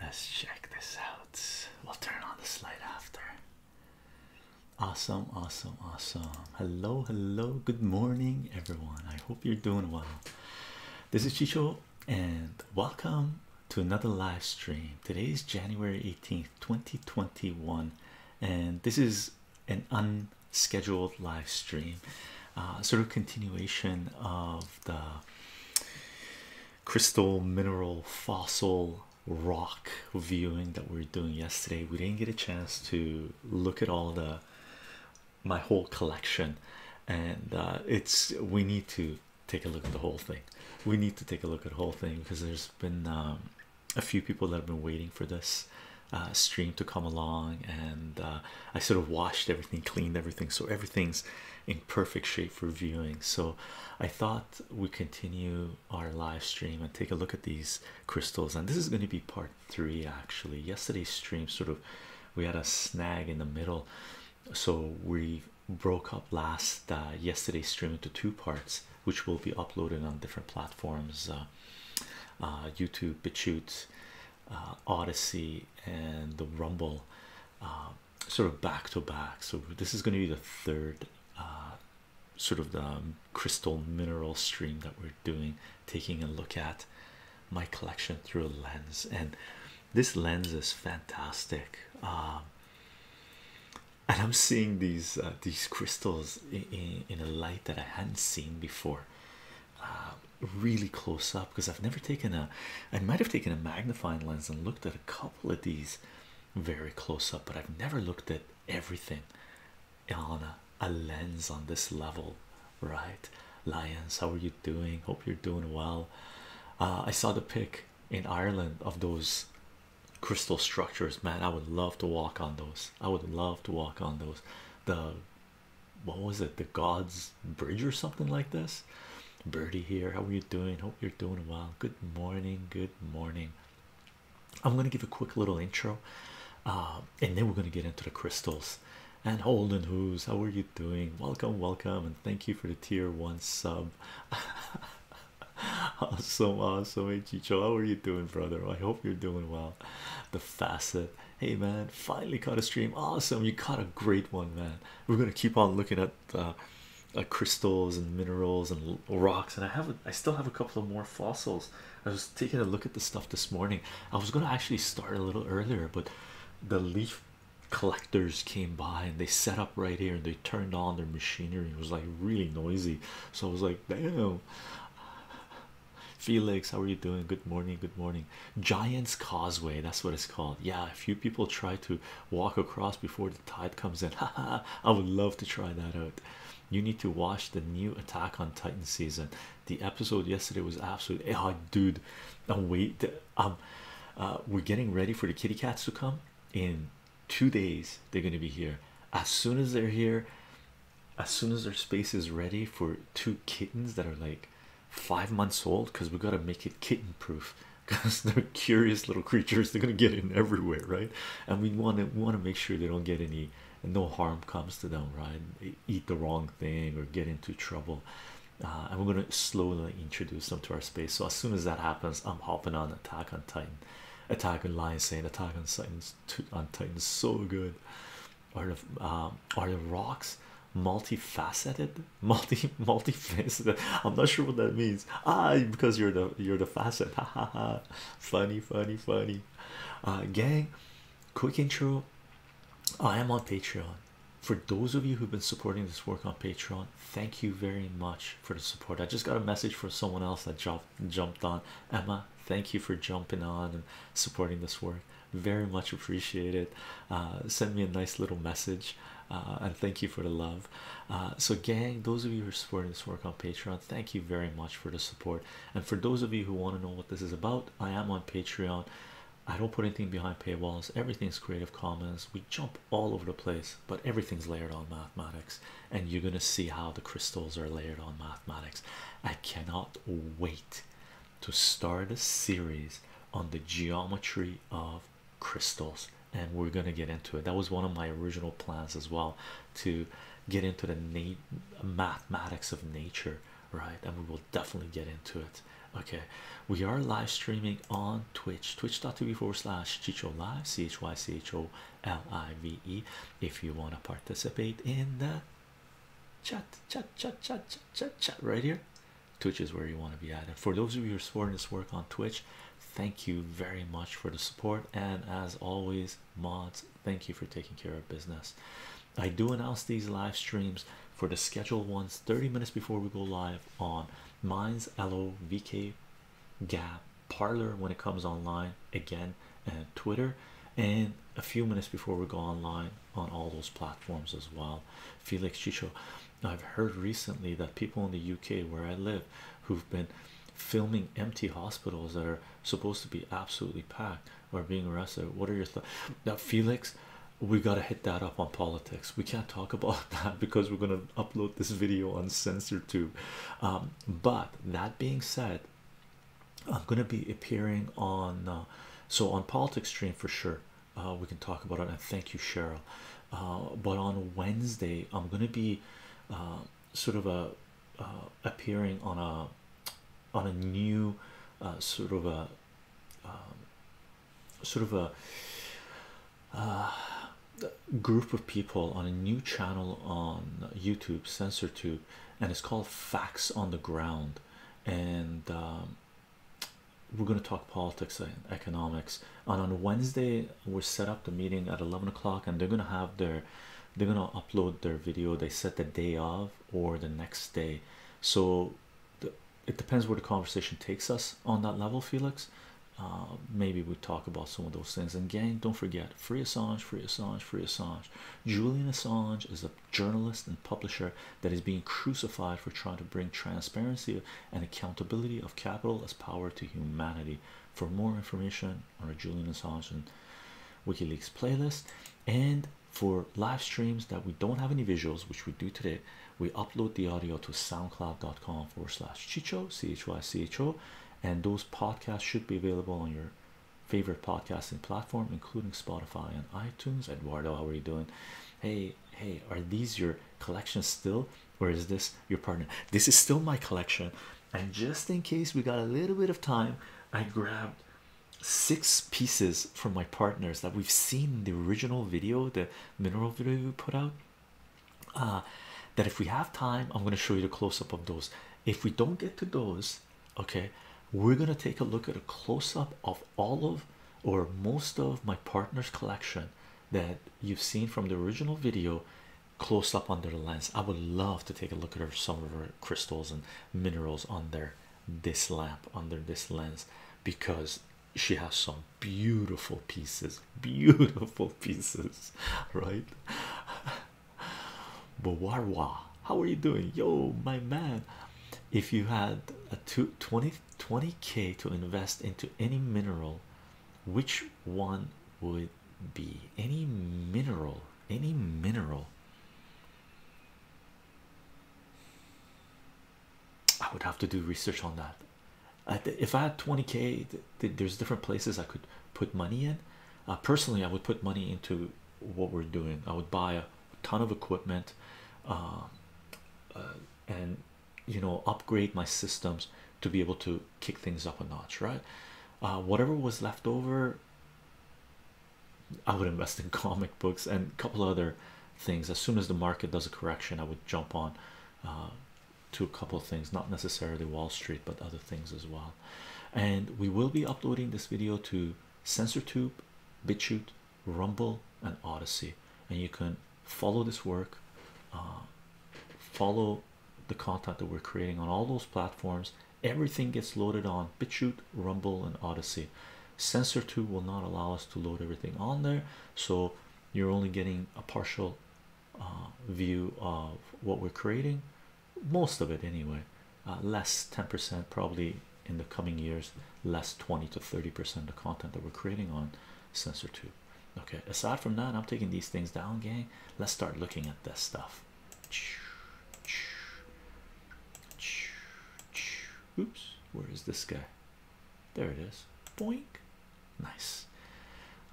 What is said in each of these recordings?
Let's check this out. We'll turn on the slide after. Awesome, awesome, awesome. Hello, hello, good morning, everyone. I hope you're doing well. This is Chicho, and welcome to another live stream. Today is January 18th, 2021, and this is an unscheduled live stream, uh, sort of continuation of the crystal mineral fossil rock viewing that we are doing yesterday we didn't get a chance to look at all the my whole collection and uh, it's we need to take a look at the whole thing we need to take a look at the whole thing because there's been um, a few people that have been waiting for this uh, stream to come along and uh, I sort of washed everything cleaned everything so everything's in perfect shape great for viewing. So I thought we continue our live stream and take a look at these crystals. And this is going to be part three actually. Yesterday's stream sort of we had a snag in the middle, so we broke up last uh, yesterday's stream into two parts, which will be uploaded on different platforms. Uh, uh, YouTube, BitChute, Odyssey, and the Rumble sort of back to back. So this is going to be the third uh, sort of the um, crystal mineral stream that we're doing, taking a look at my collection through a lens, and this lens is fantastic. Um, and I'm seeing these uh, these crystals in, in, a light that I hadn't seen before. Uh, really close up because I've never taken a I might have taken a magnifying lens and looked looked at a couple of these very close up, but I've never looked at everything on a, lens on this level, right? Lions, how are you doing? Hope you're doing well. Uh, I saw the pic in Ireland of those crystal structures, man. I would love to walk on those. I would love to walk on those. The what was it, the God's Bridge or something like this? Birdie here. How are you doing? Hope you're doing well. Good morning. Good morning. I'm gonna give a quick little intro, uh, and then we're gonna get into the crystals. And Holden, who's how are you doing? Welcome, welcome, and thank you for the tier one sub. awesome, awesome. Hey how are you doing, brother? I hope you're doing well. The facet. Hey man, finally caught a stream. Awesome, you caught a great one, man. We're gonna keep on looking at at uh, uh, crystals and minerals and rocks, and I have a, I still have a couple of more fossils. I was taking a look at the stuff this morning. I was going to actually start a little earlier, but the leaf collectors came by and they set up right here and they turned on their machinery. It was like really noisy, so I was like, damn. Felix, how are you doing? Good morning. Good morning. Giants Causeway, that's what it's called. Yeah, a few people try to walk across before the tide comes in. Haha, I would love to try that out. You need to watch the new Attack on Titan season. The episode yesterday was absolutely oh, dude. I'm wait, um, uh, we're getting ready for the kitty cats to come in two days. They're going to be here as soon as they're here, as soon as their space is ready for two kittens that are like five months old because we got to make it kitten proof because they're curious little creatures they're gonna get in everywhere right and we want to want to make sure they don't get any and no harm comes to them right they eat the wrong thing or get into trouble uh, and we're gonna slowly introduce them to our space so as soon as that happens I'm hopping on Attack on Titan Attack on Lion saying Attack on Titans on Titan so good are the um, are the rocks multifaceted multi multifaceted. I'm not sure what that means. Ah, because you're the you're the facet. Ha ha ha. Funny, funny, funny. Uh, gang, quick intro. I am on Patreon. For those of you who've been supporting this work on Patreon, thank you very much for the support. I just got a message from someone else that jumped jumped on. Emma, thank you for jumping on and supporting this work. Very much appreciate it. Uh, send me a nice little message uh, and thank you for the love uh, so gang those of you who are supporting this work on patreon thank you very much for the support and for those of you who want to know what this is about i am on patreon i don't put anything behind paywalls everything's creative commons we jump all over the place but everything's layered on mathematics and you're going to see how the crystals are layered on mathematics i cannot wait to start a series on the geometry of crystals and we're going to get into it that was one of my original plans as well to get into the mathematics of nature right and we will definitely get into it okay we are live streaming on twitch twitch.tv forward slash chicho live c-h-y-c-h-o-l-i-v-e if you want to participate in the chat chat chat chat chat chat chat right here Twitch is where you want to be at. And for those of you who are supporting this work on Twitch, thank you very much for the support. And as always, mods, thank you for taking care of business. I do announce these live streams for the scheduled ones 30 minutes before we go live on Mines, LO, VK, Gap, Parlor when it comes online again, and Twitter, and a few minutes before we go online on all those platforms as well. Felix Chicho, I've heard recently that people in the UK where I live who've been filming empty hospitals that are supposed to be absolutely packed are being arrested. What are your thoughts? Now, Felix, we got to hit that up on politics. We can't talk about that because we're going to upload this video on CensorTube. Um, but that being said, I'm going to be appearing on uh, so on politics stream for sure uh, we can talk about it. And thank you, Cheryl. Uh, but on Wednesday, I'm gonna be uh, sort of a uh, appearing on a on a new uh, sort of a um, sort of a group of people on a new channel on YouTube, Censor Tube, and it's called Facts on the Ground. And um, we're going to talk politics and economics and on wednesday we're set up the meeting at 11 o'clock and they're going to have their they're going to upload their video they set the day of or the next day so it depends where the conversation takes us on that level felix uh, maybe we talk about some of those things and gang don't forget free assange free assange free assange julian assange is a journalist and publisher that is being crucified for trying to bring transparency and accountability of capital as power to humanity. For more information on Julian Assange and WikiLeaks playlist, and for live streams that we don't have any visuals, which we do today, we upload the audio to soundcloud.com forward slash chicho, C H Y C H O, and those podcasts should be available on your favorite podcasting platform, including Spotify and iTunes. Eduardo, how are you doing? Hey, hey, are these your collections still? Where is this your partner? This is still my collection, and just in case we got a little bit of time, I grabbed six pieces from my partners that we've seen the original video, the mineral video we put out. Uh, that if we have time, I'm going to show you the close up of those. If we don't get to those, okay, we're going to take a look at a close up of all of or most of my partner's collection that you've seen from the original video close up under the lens. I would love to take a look at some of her crystals and minerals under this lamp, under this lens, because she has some beautiful pieces, beautiful pieces, right? Bawarwa, how are you doing? Yo, my man. If you had a two, 20 20k to invest into any mineral, which one would be any mineral? Any mineral? I would have to do research on that. if I had 20k, there's different places I could put money in. Uh, personally, I would put money into what we're doing, I would buy a ton of equipment. Um, uh, and you know upgrade my systems to be able to kick things up a notch right uh, whatever was left over i would invest in comic books and a couple other things as soon as the market does a correction i would jump on uh, to a couple things not necessarily wall street but other things as well and we will be uploading this video to Tube, bitchute rumble and odyssey and you can follow this work uh, follow the content that we're creating on all those platforms everything gets loaded on bitchute rumble and odyssey censor 2 will not allow us to load everything on there so you're only getting a partial uh, view of what we're creating most of it anyway uh, less 10% probably in the coming years less 20 to 30% of content that we're creating on censor 2 Okay, aside from that, I'm taking these things down, gang. Let's start looking at this stuff. Oops, where is this guy? There it is. Boink. Nice.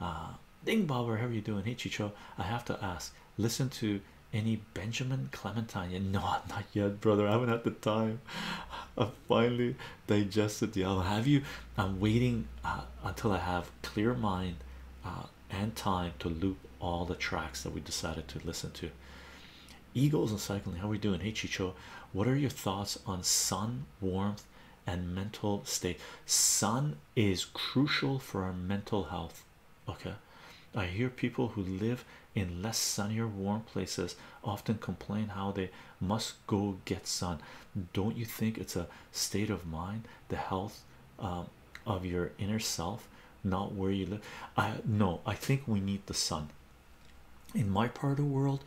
Uh, Ding Bobber, how are you doing? Hey, Chicho. I have to ask, listen to any Benjamin Clementine? No, not yet, brother. I haven't had the time. I finally digested the album. Have you? I'm waiting uh, until I have clear mind uh, and time to loop all the tracks that we decided to listen to. Eagles and cycling. How we doing? Hey Chicho, what are your thoughts on sun, warmth, and mental state? Sun is crucial for our mental health. Okay, I hear people who live in less sunnier, warm places often complain how they must go get sun. Don't you think it's a state of mind, the health um, of your inner self, not where you live? no, I think we need the sun. In my part of the world,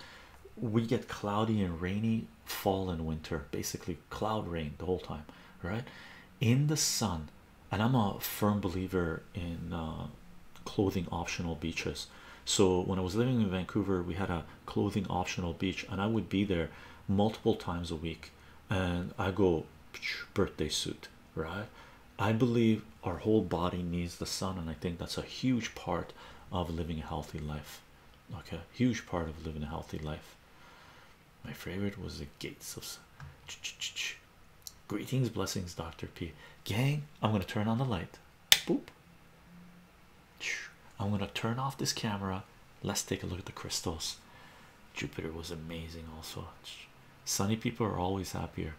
we get cloudy and rainy fall and winter, basically cloud rain the whole time, right? In the sun, and I'm a firm believer in uh, clothing optional beaches. So when I was living in Vancouver, we had a clothing optional beach and i would be there multiple times a week and i go birthday suit right i believe our whole body needs the sun and i think that's a huge part of living a healthy life okay huge part of living a healthy life my favorite was the gates of greetings blessings dr p gang i'm going to turn on the light I'm gonna turn off this camera. Let's take a look at the crystals. Jupiter was amazing, also. Sunny people are always happier.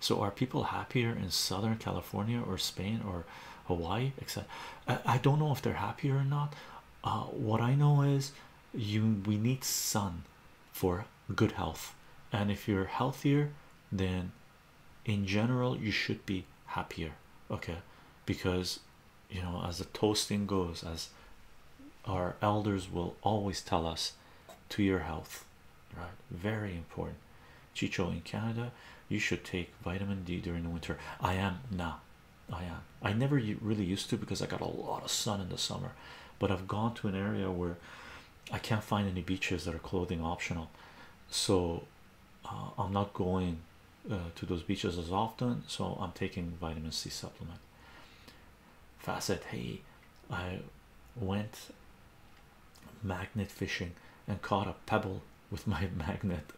So, are people happier in Southern California or Spain or Hawaii? Except, I don't know if they're happier or not. Uh, what I know is, you we need sun for good health, and if you're healthier, then in general you should be happier okay because you know as the toasting goes as our elders will always tell us to your health right very important chicho in canada you should take vitamin d during the winter i am nah, i am i never really used to because i got a lot of sun in the summer but i've gone to an area where i can't find any beaches that are clothing optional so uh, I'm not going uh, to those beaches as often, so I'm taking vitamin C supplement. Facet, hey, I went magnet fishing and caught a pebble with my magnet.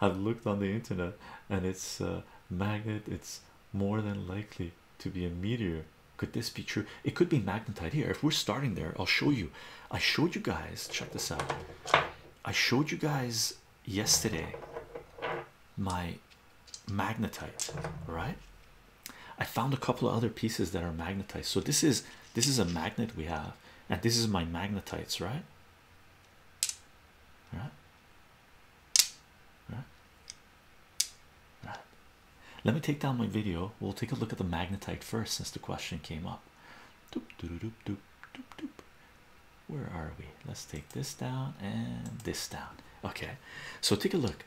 I've, looked on the internet and it's a uh, magnet, it's more than likely to be a meteor. Could this be true? It could be magnetite here. If we're starting there, I'll show you I showed you guys, check this out. I showed you guys yesterday my magnetite, right? I found a couple of other pieces that are magnetized. So this is this is a magnet we have, and this is my magnetites, right? Right. Right. Let me take down my video. We'll take a look at the magnetite first since the question came up. Doop, doop, doop, doop, doop, doop. Where are we? Let's take this down and this down. Okay, so take a look.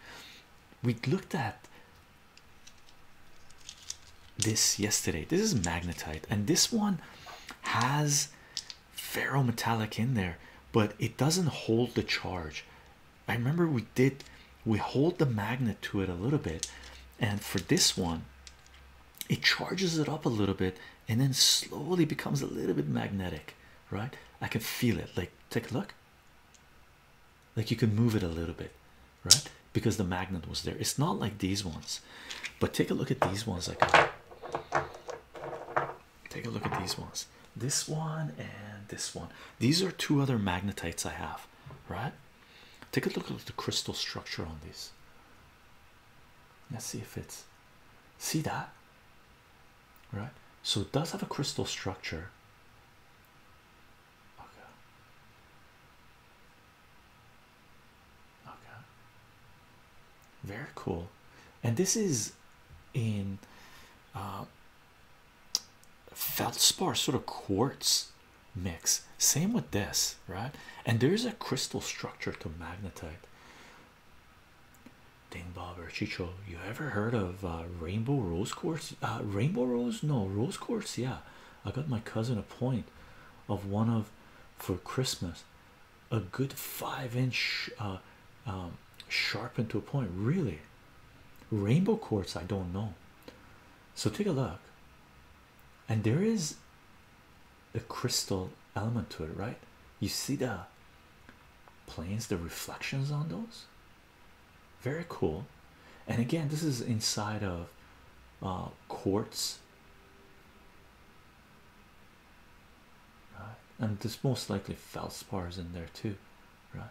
We looked at this yesterday. This is magnetite, and this one has ferrometallic in there, but it doesn't hold the charge. I remember we did we hold the magnet to it a little bit, and for this one, it charges it up a little bit and then slowly becomes a little bit magnetic, right? I can feel it. Like, take a look. Like you can move it a little bit, right? Because the magnet was there. It's not like these ones, but take a look at these ones. I can take a look at these ones. This one and this one. These are two other magnetites I have, right? Take a look at the crystal structure on this. Let's see if it's see that right. So it does have a crystal structure. Okay. Very cool. And this is in uh, feldspar sort of quartz mix same with this right and there's a crystal structure to magnetite ding bob or chicho you ever heard of uh, rainbow rose quartz uh, rainbow rose no rose quartz yeah i got my cousin a point of one of for christmas a good five inch uh, um, sharpened to a point really rainbow quartz i don't know so take a look and there is a crystal element to it, right? You see the planes, the reflections on those. Very cool. And again, this is inside of uh, quartz. Right? And there's most likely feldspars in there too, right?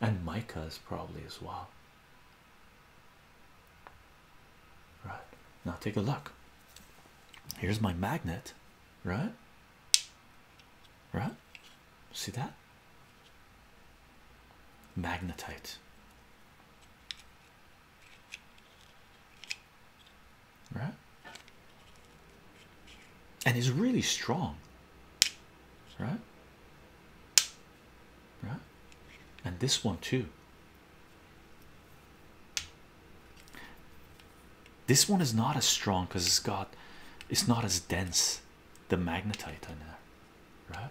And mica is probably as well. Right now, take a look. Here's my magnet, right? Right, see that magnetite, right? And it's really strong, right? right? And this one too. This one is not as strong because it's got it's not as dense the magnetite in there, right?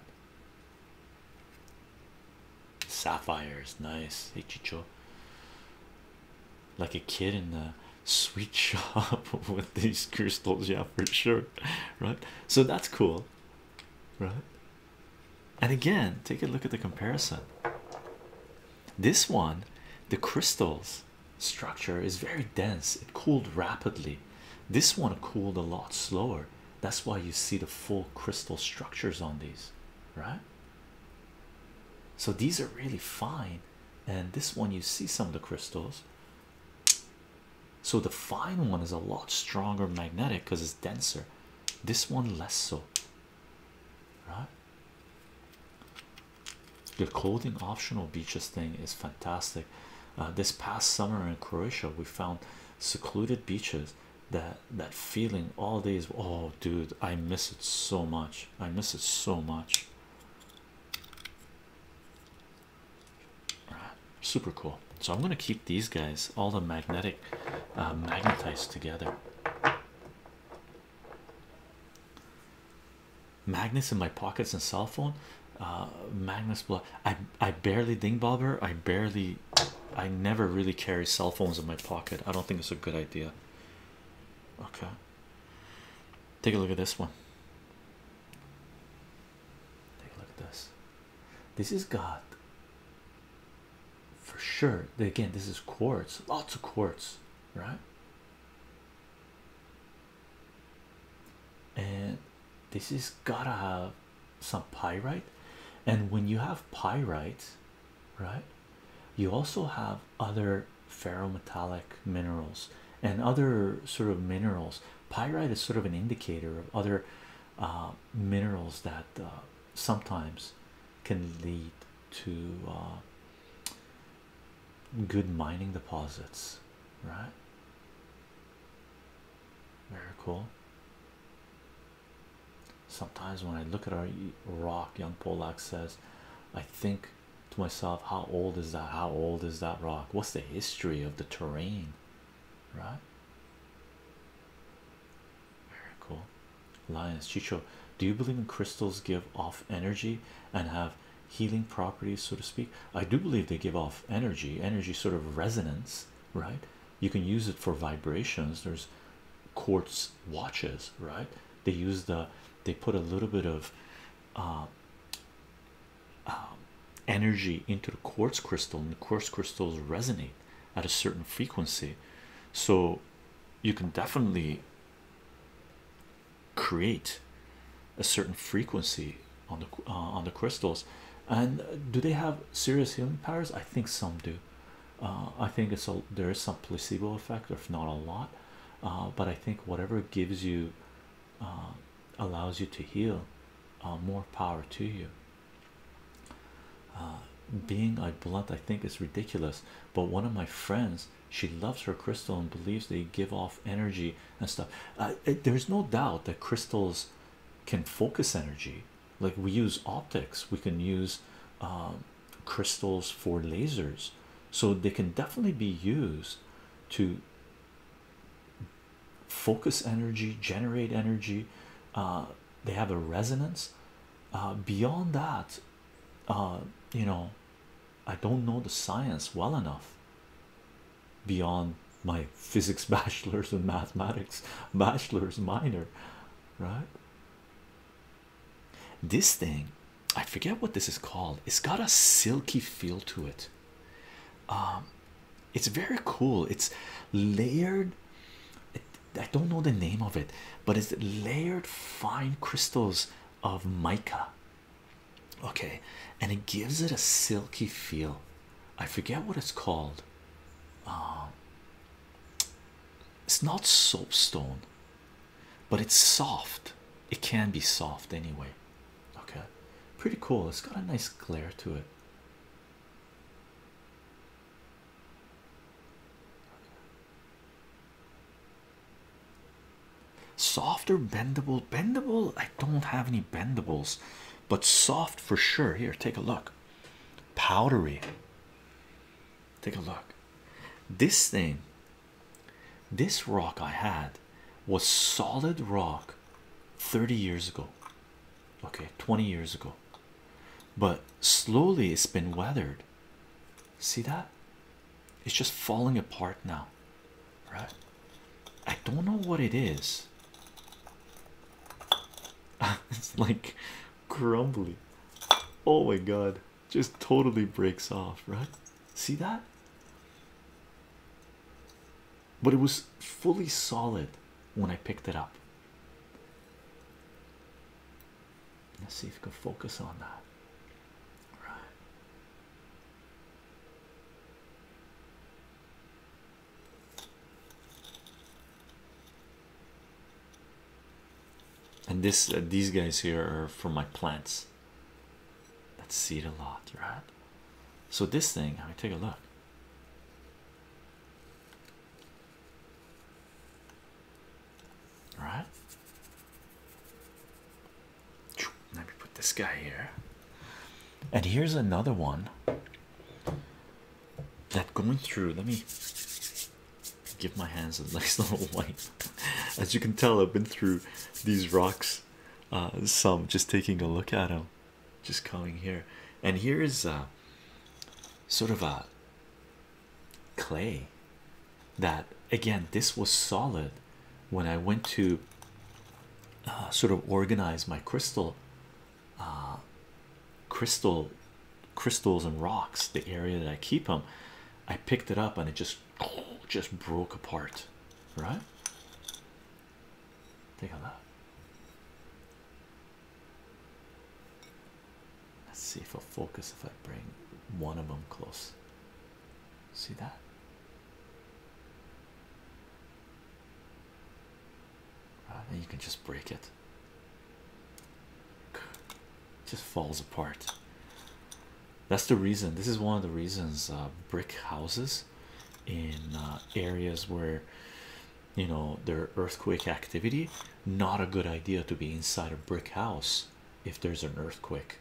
Sapphire is nice. Hey Chicho. Like a kid in the sweet shop with these crystals, yeah, for sure. Right? So that's cool. Right? And again, take a look at the comparison. This one, the crystals structure is very dense, it cooled rapidly. This one cooled a lot slower. That's why you see the full crystal structures on these, right? So these are really fine, and this one you see some of the crystals. So the fine one is a lot stronger magnetic because it's denser this one less so right the clothing optional beaches thing is fantastic uh, this past summer in Croatia we found secluded beaches that that feeling all these. oh dude I miss it so much I miss it so much super cool. So I'm gonna keep these guys, all the magnetic uh, magnetized together. Magnets in my pockets and cell phone. Uh, Magnets. Blah. I I barely ding bobber. I barely. I never really carry cell phones in my pocket. I don't think it's a good idea. Okay. Take a look at this one. Take a look at this. This is God for sure again this is quartz lots of quartz right and this is gotta have some pyrite and when you have pyrite right you also have other ferrometallic minerals and other sort of minerals pyrite is sort of an indicator of other uh, minerals that uh, sometimes can lead to uh, good mining deposits, right? Very cool. Sometimes when I look at our rock, young Polak says, I think to myself, how old is that? How old is that rock? What's the history of the terrain right? Very cool. Lions Chicho, do you believe in crystals give off energy and have healing properties, so to speak? I do believe they give off energy, energy sort of resonance, right? You can use it for vibrations. There's quartz watches, right? They use the they put a little bit of uh, um, energy into the quartz crystal, and the quartz crystals resonate at a certain frequency so you can definitely create a certain frequency on the uh, on the crystals and do they have serious healing powers i think some do uh, i think it's all there is some placebo effect or if not a lot uh, but i think whatever gives you allows you to heal more power to you uh, being a blunt i think is ridiculous but one of my friends she loves her crystal and believes they give off energy and stuff uh, there's no doubt that crystals can focus energy like we use optics we can use um, crystals for lasers so they can definitely be used to focus energy generate energy uh, they have a resonance uh, beyond that uh, you know I don't know the science well enough beyond my physics bachelor's and mathematics bachelor's minor right this thing I forget what this is called it's got a silky feel to it um, it's very cool it's layered I don't know the name of it, but it's layered fine crystals of mica. Okay, and it gives it a silky feel. I forget what it's called. Um, it's not soapstone, but it's soft. It can be soft anyway. Okay, pretty cool. It's got a nice glare to it. Softer bendable, bendable. I don't have any bendables, but soft for sure. Here, take a look. Powdery. Take a look. This thing, this rock I had was solid rock 30 years ago. Okay, 20 years ago but slowly it's been weathered. See that? It's just falling apart now, right? I don't know what it is. it's like crumbly. Oh my god, just totally breaks off, right? See that? But it was fully solid when I picked it up, Let's see if we can focus on that. All right. And this, uh, these guys here are for my plants that seed a lot, right? So, this thing, I take a look. All right. Let me put this guy here. And here's another one that going through. Let me give my hands a nice little wipe. As you can tell, I've been through these rocks. Uh, some just taking a look at them just coming here and here is a uh, sort of a clay that again this was solid when i went to uh, sort of organize my crystal uh, crystal crystals and rocks the area that i keep them i picked it up and it just just broke apart right take a look Let's see if I'll focus if I bring one of them close. See that? and ah, you can just break it. Just falls apart. That's the reason. This is one of the reasons uh, brick houses in uh, areas where you know their earthquake activity not a good idea to be inside a brick house if there's an earthquake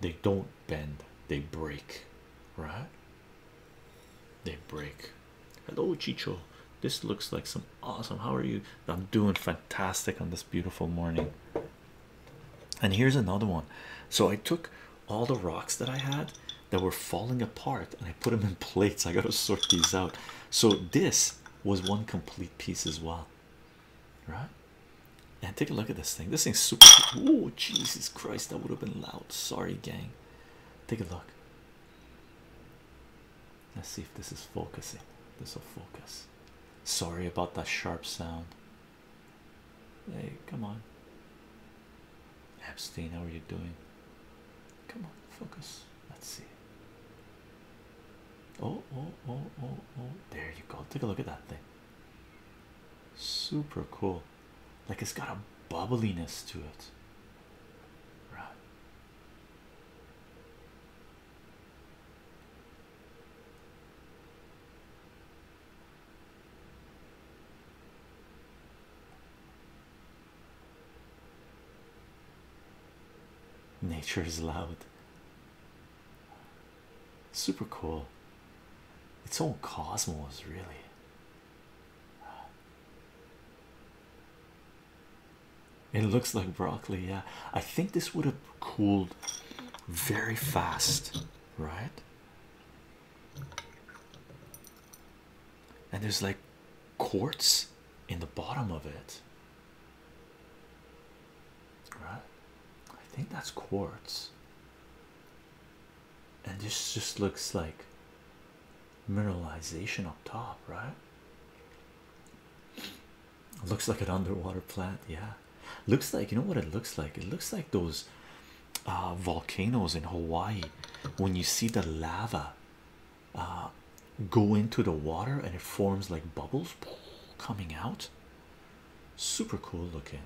they don't bend they break right they break hello chicho this looks like some awesome how are you i'm doing fantastic on this beautiful morning and here's another one so i took all the rocks that i had that were falling apart and i put them in plates i gotta sort these out so this was one complete piece as well, right? And take a look at this thing. This thing's super. Oh Jesus Christ, that would have been loud. Sorry, gang. Take a look. Let's see if this is focusing. This will focus. Sorry about that sharp sound. Hey, come on. Epstein, how are you doing? Come on, focus. Let's see. Oh, oh, oh, oh, oh. There you go. Take a look at that thing. Super cool. Like it's got a bubbliness to it. Right. Nature is loud. Super cool. Its all cosmos, really. It looks like broccoli, yeah. I think this would have cooled very fast, right? and there's like quartz in the bottom of it right i think that's quartz and this just looks like mineralization up top right looks like an underwater plant yeah looks like you know what it looks like it looks like those uh, volcanoes in hawaii when you see the lava uh, go into the water and it forms like bubbles coming out. Super cool looking,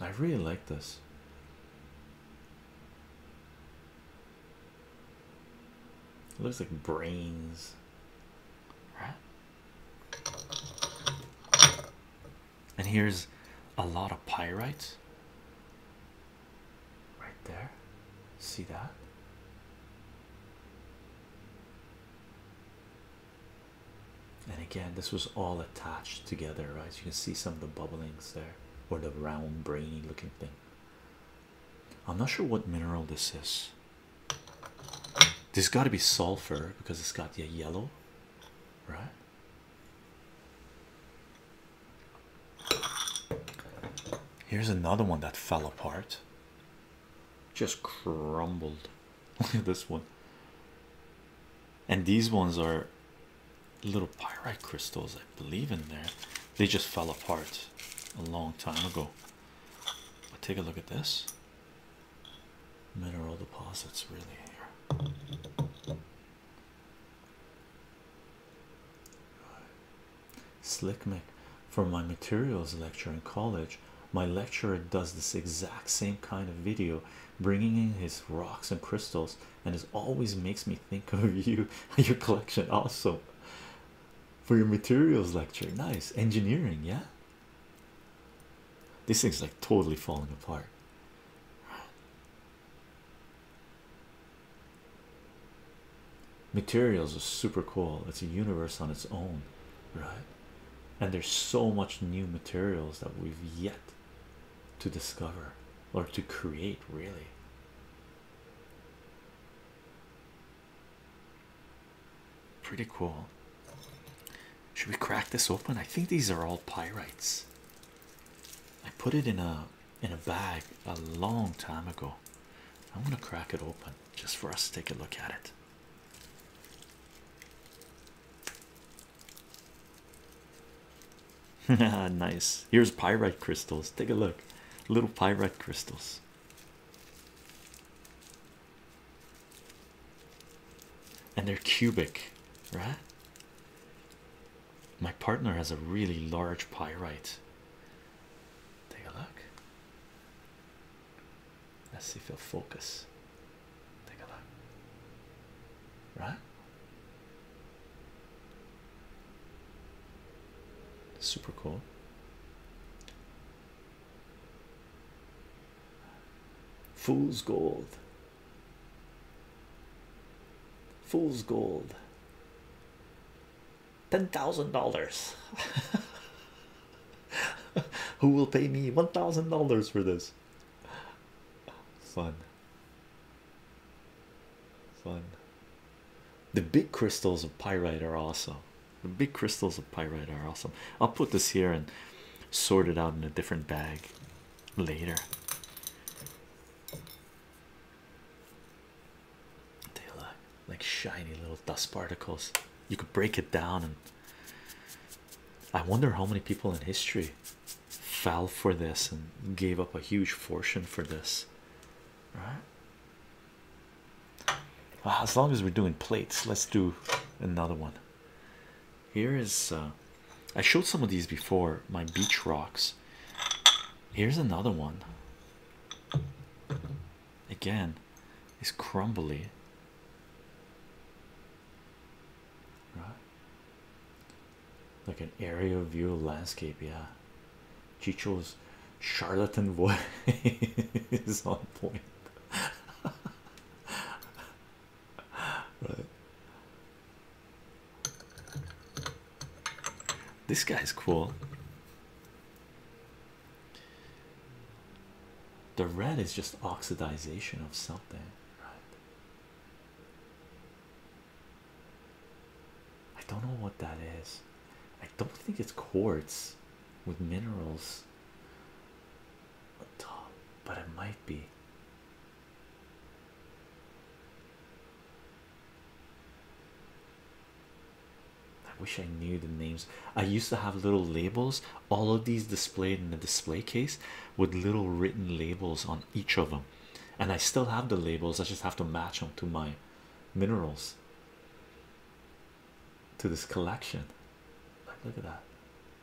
I really like this. It looks like brains right? And here's a lot of pyrites, right there. See that? And again, this was all attached together, right? You can see some of the bubblings there, or the round, brainy looking thing. I'm not sure what mineral this is. There's got to be sulfur because it's got the yellow, right? Here's another one that fell apart, just crumbled. Look at this one, and these ones are little pyrite crystals, I believe, in there. They just fell apart a long time ago. But take a look at this mineral deposits really here. Slick Mick, for my materials lecture in college, my lecturer does this exact same kind of video, bringing in his rocks and crystals, and it always makes me think of you and your collection. Also, for your materials lecture, nice engineering, yeah, this thing's like totally falling apart. Materials are super cool. It's a universe on its own, right? And there's so much new materials that we've yet to discover or to create, really. Pretty cool. Should we crack this open? I think these are all pyrites. I put it in a in a bag a long time ago. I'm gonna crack it open just for us to take a look at it. nice. Here's pyrite crystals. Take a look. Little pyrite crystals and they're cubic, right? My partner has a really large pyrite. Take a look. Let's see if he'll focus. Take a look. Right? Super cool. Fool's gold. Fool's gold. $10,000. Who will pay me $1,000 for this? Fun. Fun. The big crystals of pyrite are awesome. The big crystals of pyrite are awesome. I'll put this here and sorted out in a different bag later. They look like shiny little dust particles. You could break it down, and I wonder how many people in history fell for this and gave up a huge fortune for this, right? Well, as long as we're doing plates, let's do another one. Here is uh, I showed some of these before my beach rocks. Here's another one. Again, it's crumbly. Right. Like an aerial view landscape, yeah. Chicho's charlatan voice is on point. right? This guy's cool. The red is just oxidization of something, I don't know what that is. I don't think it's quartz with minerals a but it might be. I wish I knew the names. I used to have little labels, all of these displayed in a display case with little written labels on each of them, and I still have the labels. I just have to match them to my minerals to this collection. Look at that.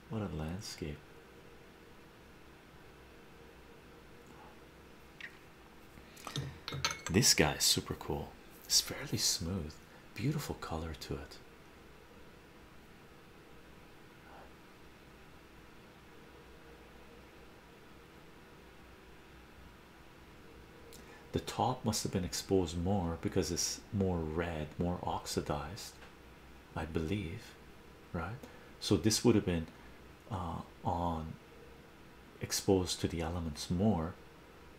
What a landscape. This guy is super cool. It's fairly smooth, beautiful color to it. The top must have been exposed more because it's more red, more oxidized. I believe, right? So this would have been uh, on exposed to the elements more,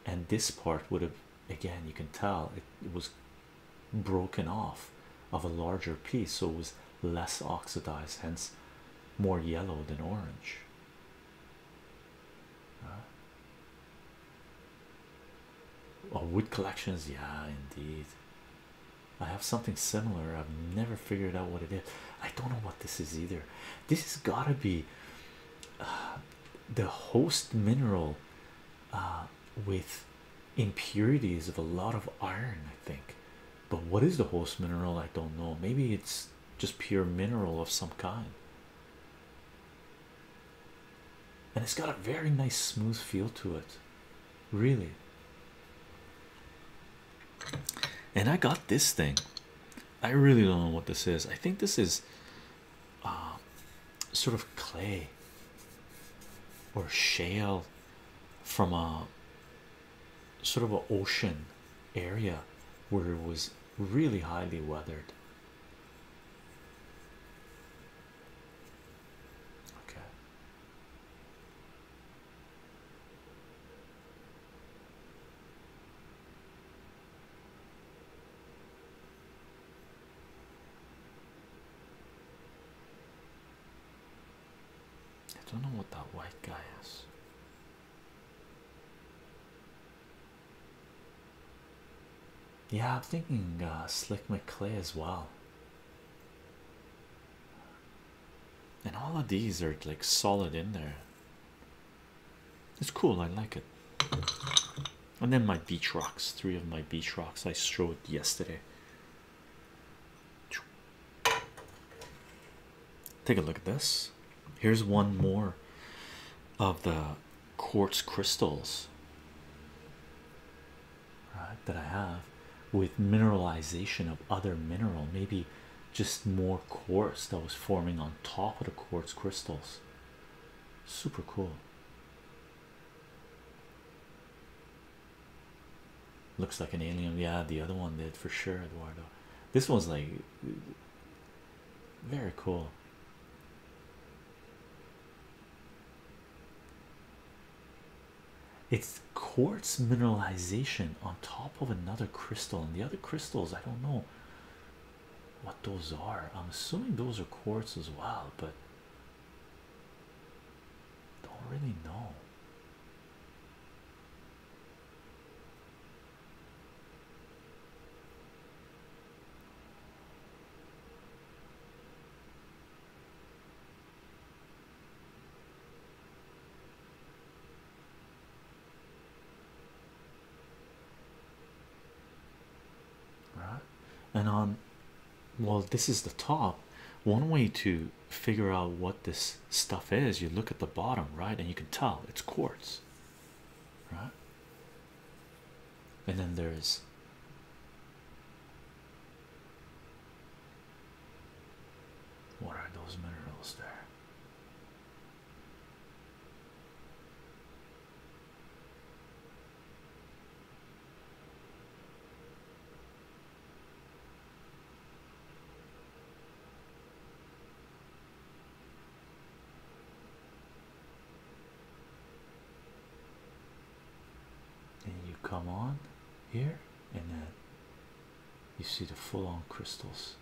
and this part would have again you can tell it, was broken off of a larger piece, so it was less oxidized, hence more yellow than orange. Oh, wood collections, yeah, indeed. I have something similar. I've never figured out what it is. I don't know what this is either. This has got to be uh, the host mineral uh, with impurities of a lot of iron, I think. But what is the host mineral? I don't know. Maybe it's just pure mineral of some kind and it's got a very nice smooth feel to it really and i got this thing i really don't know what this is i think this is uh, sort of clay or shale from a sort of an ocean area where it was really highly weathered I don't know what that white guy is. Yeah, I'm thinking uh, Slick McClay as well. And all of these are like solid in there. It's cool, I like it. And then my beach rocks, three of my beach rocks I showed yesterday. Take a look at this. Here's one more of the quartz crystals that I have with mineralization of other mineral, maybe just more quartz that was forming on top of the quartz crystals. Super cool. Looks like an alien. Yeah, the other one did for sure, Eduardo. This one's like very cool. It's quartz mineralization on top of another crystal, and the other crystals I don't know what those are. I'm assuming those are quartz as well, but don't really know. Right, and on um, well, this is the top. One way to figure out what this stuff is, you look at the bottom, right, and you can tell it's quartz, right? and then there's what are those minerals there? and you come on here and then you see the full-on crystals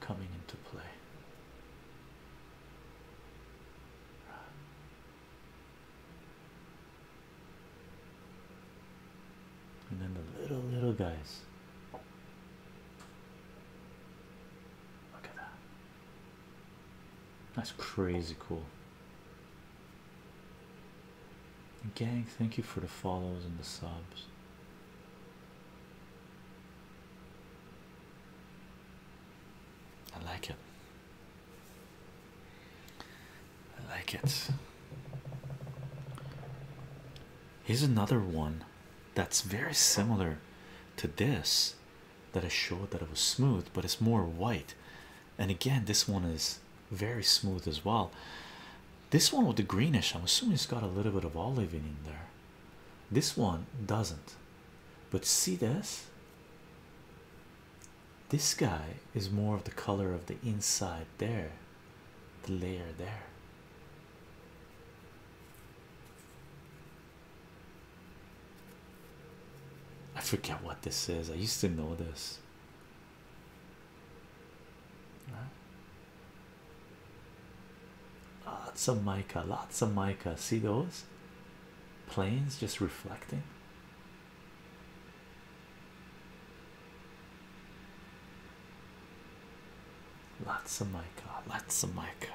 coming into play and then the little little guys look at that that's crazy cool. Gang, thank you for the follows and the subs. I like it. I like it. Here's another one that's very similar to this that I showed that it was smooth, but it's more white. And again, this one is very smooth as well. This one with the greenish, I'm assuming it's got a little bit of olive in there. This one doesn't, but see this. This guy is more of the color of the inside there, the layer there. I forget what this is. I used to know this. Lots of mica, lots of mica. See those planes just reflecting. Lots of mica, lots of mica.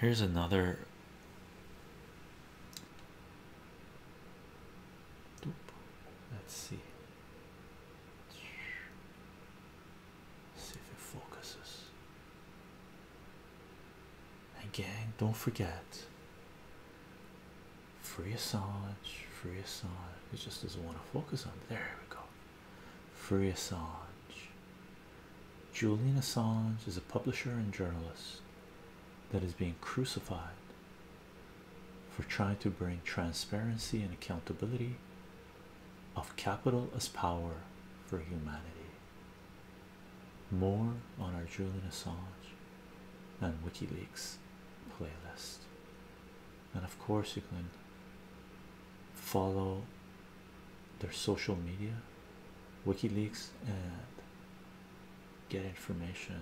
Here's another let's see see if it focuses Again, don't forget free Assange free Assange it just doesn't want to focus on there we go Free Assange. Julian Assange is a publisher and journalist that is being crucified for trying to bring transparency and accountability of capital as power for humanity. More on our Julian Assange and WikiLeaks playlist and of course you can follow their social media wikileaks and get information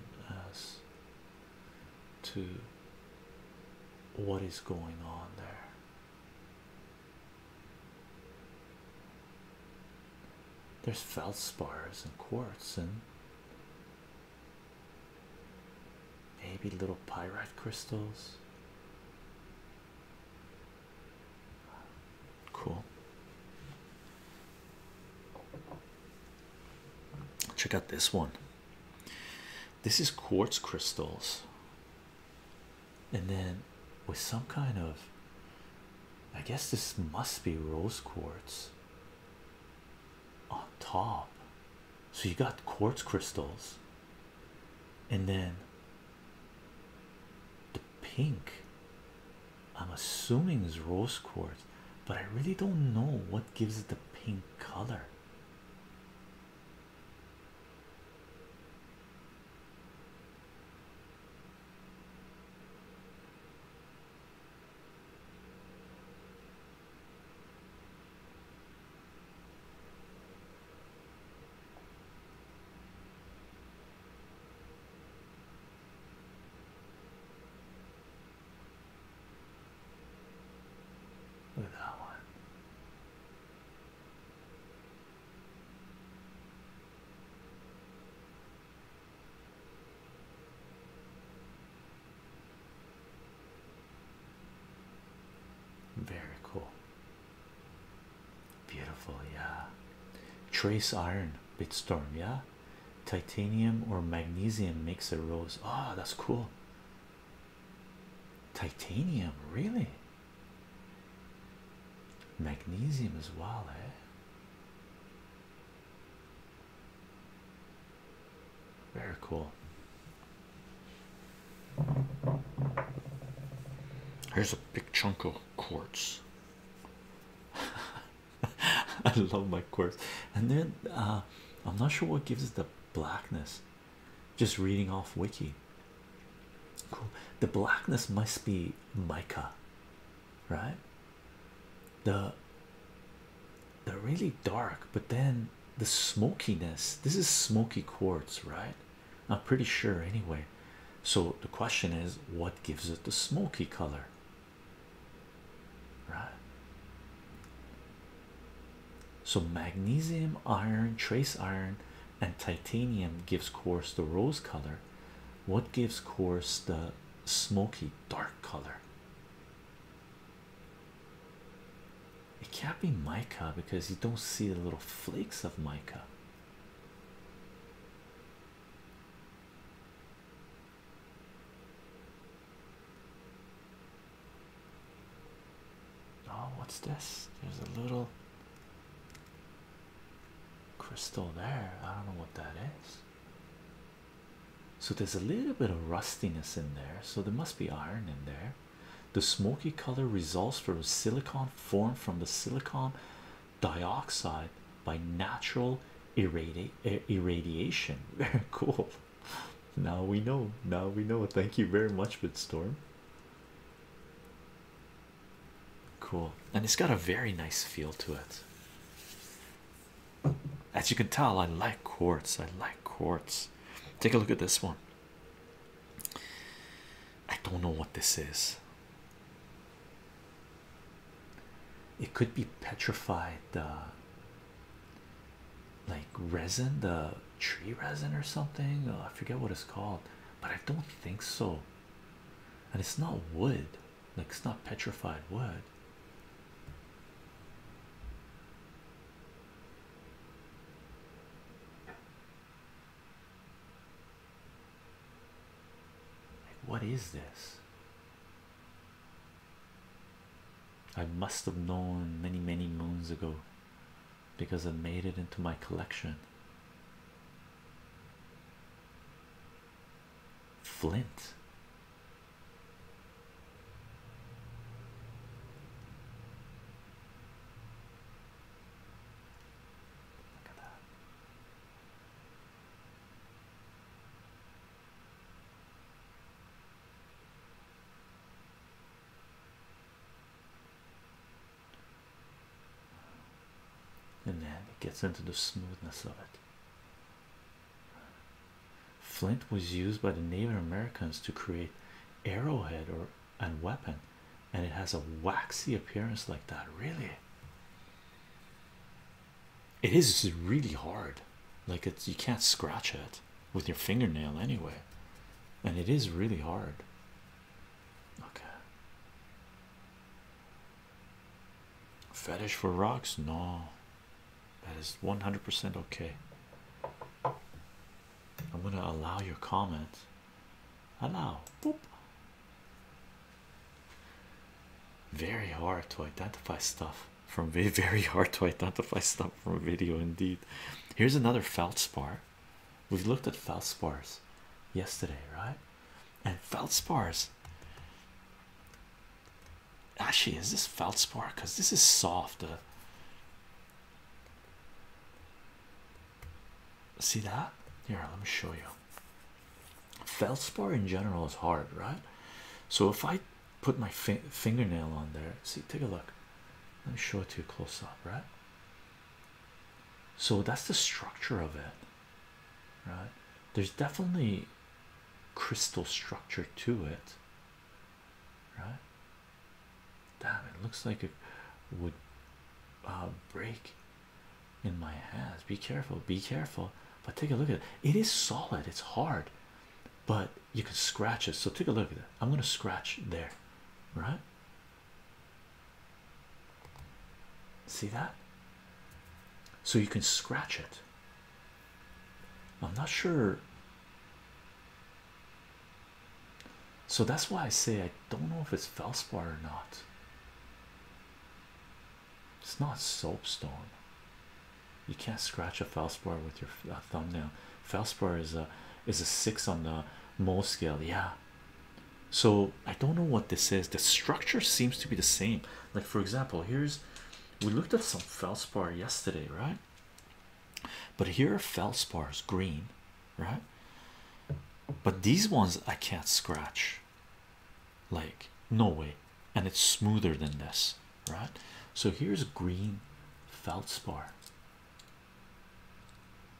as to what is going on there there's feldspars and quartz and Maybe little pyrite crystals. Cool. Check out this one. This is quartz crystals, and then with some kind of I guess this must be rose quartz on top. So you got quartz crystals and then the pink i'm assuming is rose quartz but i really don't know what gives it the pink color Look at that one. Very cool. Beautiful, yeah. Trace iron, bit storm, yeah. Titanium or magnesium makes a rose. Oh, that's cool. Titanium, really? Magnesium as well, eh? Very cool. Here's a big chunk of quartz. I love my quartz, and then uh, I'm not sure what gives it the blackness. Just reading off wiki. Cool. The blackness must be mica, right? The they're really dark, but then the smokiness. This is smoky quartz, right? I'm pretty sure, anyway. So the question is, what gives it the smoky color? Right. So magnesium, iron, trace iron, and titanium gives quartz the rose color. What gives quartz the smoky dark color? It can't be mica because you don't see the little flakes of mica. Oh, what's this? There's a little crystal there. I don't know what that is. So there's a little bit of rustiness in there, so there must be iron in there the smoky color results from silicon formed from the silicon dioxide by natural irradiation very cool now we know now we know thank you very much Storm. cool and it's got a very nice feel to it as you can tell i like quartz i like quartz take a look at this one I don't know what this is. It could be petrified, uh, like resin, the tree resin or something. Oh, I forget what it's called, but I don't think so. And it's not wood, like it's not petrified wood. What is this? I must have known many, many moons ago because I made it into my collection. Flint. And then it gets into the smoothness of it. Flint was used by the Native Americans to create arrowhead or and weapon and it has a waxy appearance like that really it is really hard like it's you can't scratch it with your fingernail anyway and it is really hard okay fetish for rocks no that is 100% okay I'm gonna allow your comment. Allow. Very hard to identify stuff from very hard to identify stuff from a video. Indeed, here's another feldspar. We've looked at feldspars yesterday, right? And feldspars. Actually, is this feldspar? Because this is soft. Uh, See that? Here, let me show you. Feldspar in general is hard, right? So if I put my fingernail on there, see, take a look. Let me show it to you close up, right? So that's the structure of it, right? There's definitely crystal structure to it, right? Damn, it looks like it would uh, break in my hands. Be careful, be careful. But take a look at it. It is solid, it's hard, but you can scratch it. So take a look at it. I'm going to scratch there, right? See that? So you can scratch it. I'm not sure so that's why I say I don't know if it's feldspar or not. It's not soapstone. You can't scratch a feldspar with your thumbnail. Feldspar is a is a six on the mole scale. Yeah. So I don't know what this is. The structure seems to be the same. Like for example, here's we looked at some feldspar yesterday, right? But here are feldspars green, right? But these ones I can't scratch, like, no way, and it's smoother than this, right? So here's green feldspar,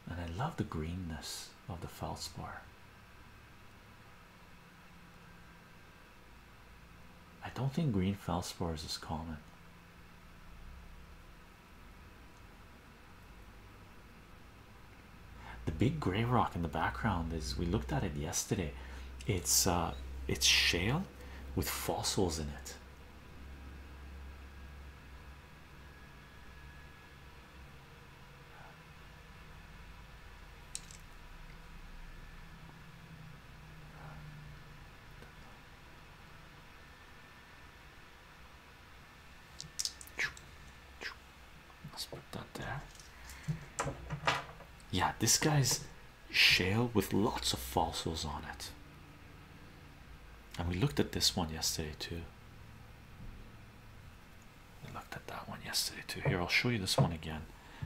and I love the greenness of the feldspar. I don't think green feldspars is common. The big gray rock in the background is we looked at it yesterday. It's uh, it's shale with fossils in it. Let's put that there. Yeah, this guy's shale with lots of fossils on it. And we looked at this one yesterday too. We looked at that one yesterday too. Here, I'll show you this one again.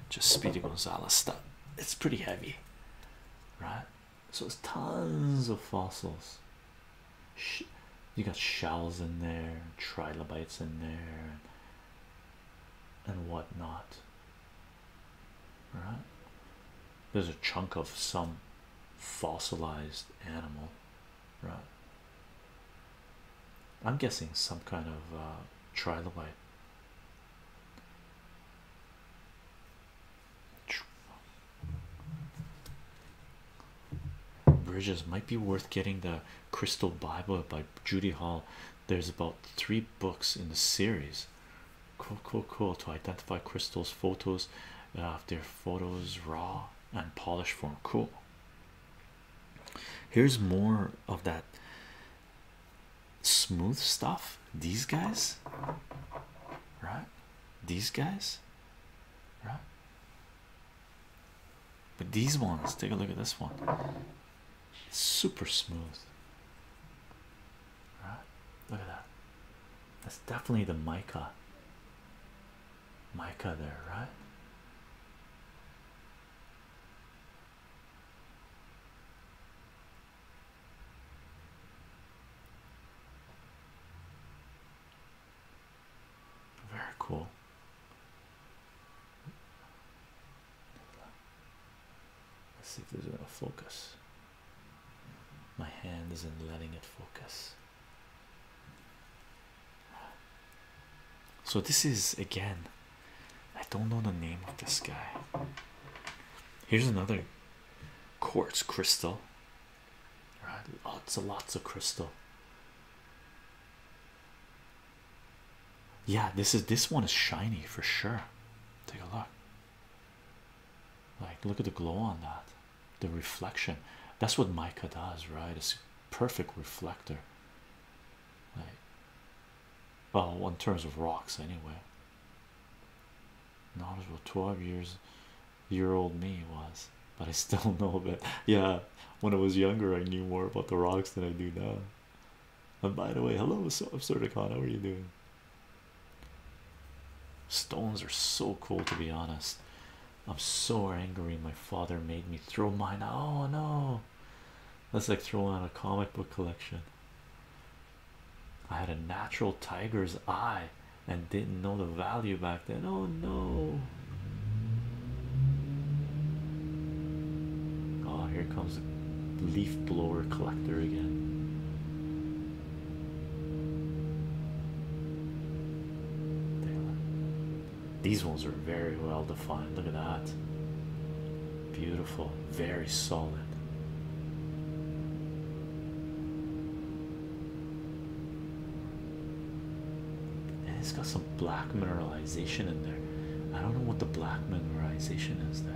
Just Speedy Gonzalez stuff. It's pretty heavy, right? So it's tons of fossils. You got shells in there, trilobites in there, and whatnot. All right? There's a chunk of some fossilized animal, right? I'm guessing some kind of uh, trilobite. Bridges might be worth getting the Crystal Bible by Judy Hall. There's about three books in the series. Cool, cool, cool. To identify crystals, photos, of uh, their photos, raw and polished form. Cool. Here's more of that smooth stuff. These guys, right? These guys right? But these ones, take a look at this one, it's super smooth, right? Look at that. That's definitely the mica, mica there, right? Very cool. Let's see if there's a focus. My hand isn't letting it focus. So, this is again, I don't know the name of this guy. Here's another quartz crystal right? Lots of lots of crystal. Yeah, this is this one is shiny for sure. Take a look. Like, look at the glow on that, the reflection. That's what mica does, right? It's a perfect reflector. Like, well, in terms of rocks, anyway. Knowledgeable 12 years year old me was, but I still know a bit. Yeah, when I was younger, I knew more about the rocks than I do now. And by the way, hello, so Absurdicon, how are you doing? Stones are so cool, to be honest. I'm so angry. My father made me throw mine. Oh no, that's like throwing out a comic book collection. I had a natural tiger's eye and didn't know the value back then. Oh no! Oh, here comes the leaf blower collector again. These ones are very well defined. Look at that. Beautiful, very solid. And it's got some black mineralization in there. I don't know what the black mineralization is there.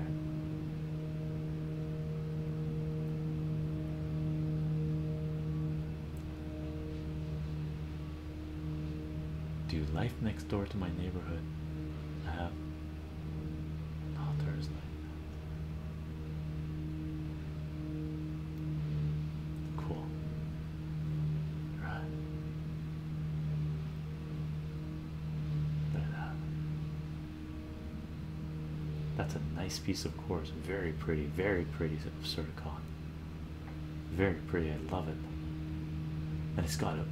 Do you life next door to my neighborhood? I have. Oh, Thursday. Cool. Right. Look at that. That's a nice piece of course. Very pretty, very pretty sort of Absurdicon. Very pretty, I love it. And it's got a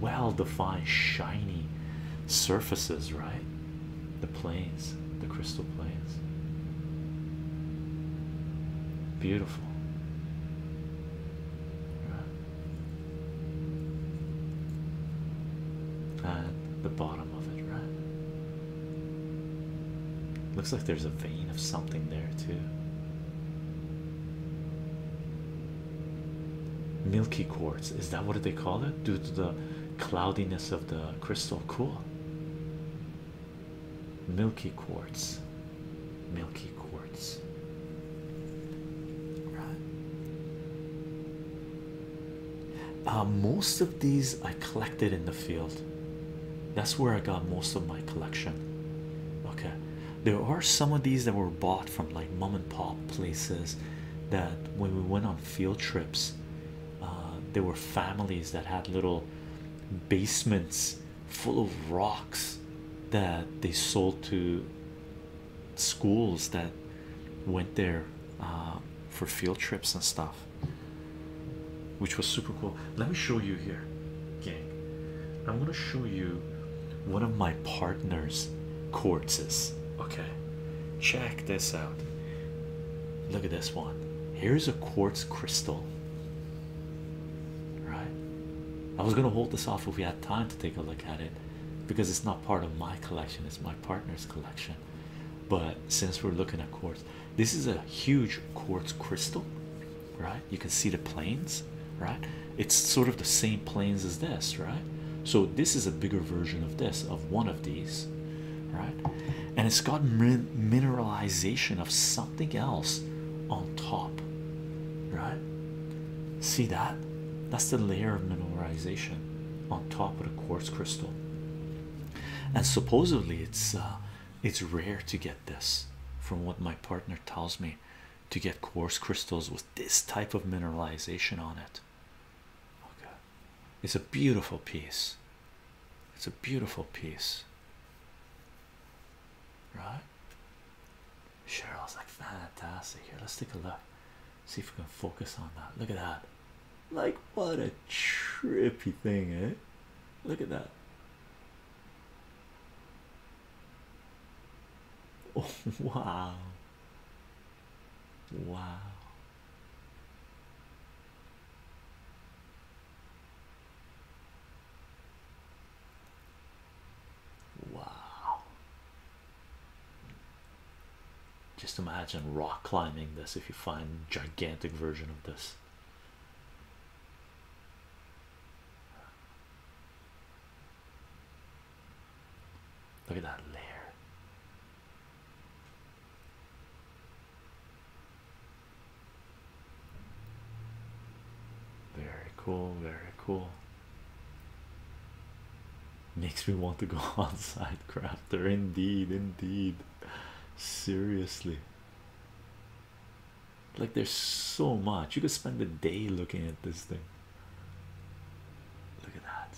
well defined, shiny surfaces, right? the plains, the crystal plains. Beautiful. At uh, the bottom of it, right? Looks like there's a vein of something there, too. Milky quartz, is that what they call it? Due to the cloudiness of the crystal, cool. Milky quartz, milky quartz. Uh, most of these I collected in the field. That's where I got most of my collection. Okay, there are some of these that were bought from like mom and pop places that when we went on field trips uh, there were families that had little basements full of rocks that they sold to schools that went there uh, for field trips and stuff, which was super cool. Let me show you here, gang. I'm gonna show you one of my partner's quartzes, okay. Check this out. Look at this one. Here's a quartz crystal. Right? I was going to hold this off if we had time to take a look at it because it's not part of my collection, it's my partner's collection. But since we're looking at quartz, this is a huge quartz crystal, right? You can see the planes, right? It's sort of the same planes as this, right? So, this is a bigger version of this, of one of these, right? and it's got mineralization of something else on top right see that that's the layer of mineralization on top of the quartz crystal and supposedly it's uh, it's rare to get this from what my partner tells me to get quartz crystals with this type of mineralization on it okay it's a beautiful piece. It's a beautiful piece. Right? Cheryl's like fantastic here. Let's take a look. See if we can focus on that. Look at that. Like what a trippy thing, eh? Look at that. wow. Wow. Wow. Just imagine rock climbing this if you find gigantic version of this. Look at that layer. Very cool, very cool. Makes me want to go on side crafter, indeed, indeed. Seriously, like there's so much you could spend a day looking at this thing. Look at that.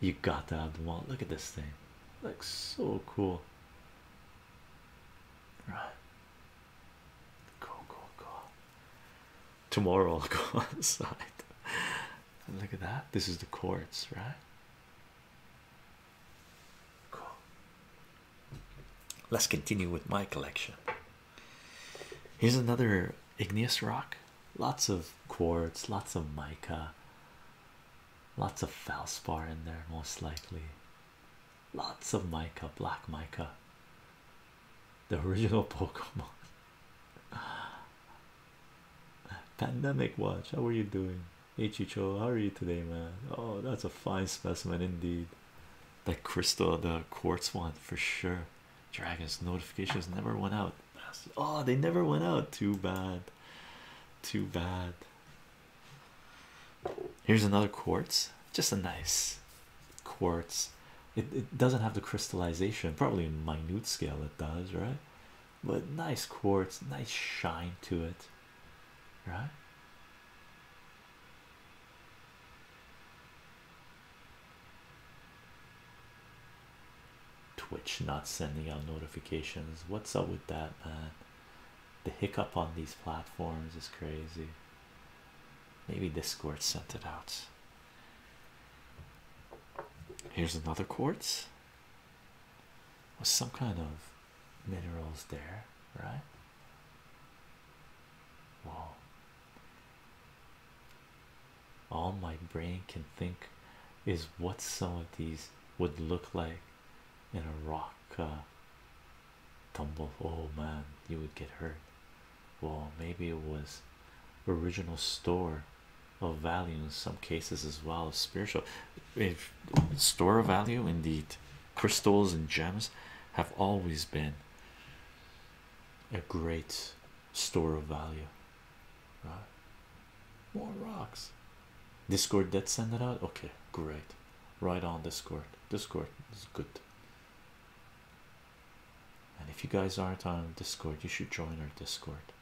You got to have the wallet. Look at this thing. Looks so cool. Right. Cool, cool, cool. Tomorrow I'll go outside. look at that. This is the quartz, right? Cool. Let's continue with my collection. Here's another igneous rock. Lots of quartz, lots of mica, lots of feldspar in there, most likely. Lots of mica, black mica. The original Pokemon. Pandemic Watch, how are you doing? Hey Chicho, how are you today, man? Oh, that's a fine specimen indeed. That crystal, the quartz one for sure. Dragons notifications never went out. Oh, they never went out. Too bad. Too bad. Here's another quartz. Just a nice quartz. It, it doesn't have the crystallization. Probably in minute scale it does, right? But nice quartz, nice shine to it, right? Twitch not sending out notifications. What's up with that, man? The hiccup on these platforms is crazy. Maybe Discord sent it out. Here's another quartz with some kind of minerals there, right? Wow, all my brain can think is what some of these would look like in a rock uh, tumble. Oh man, you would get hurt. Well, maybe it was original store of value in some cases as well. as Spiritual if store of value, indeed, crystals and gems have always been a great store of value right? More rocks. Discord did send it out. Okay, great. Right on Discord. Discord is good. And if you guys aren't on Discord, you should join our Discord.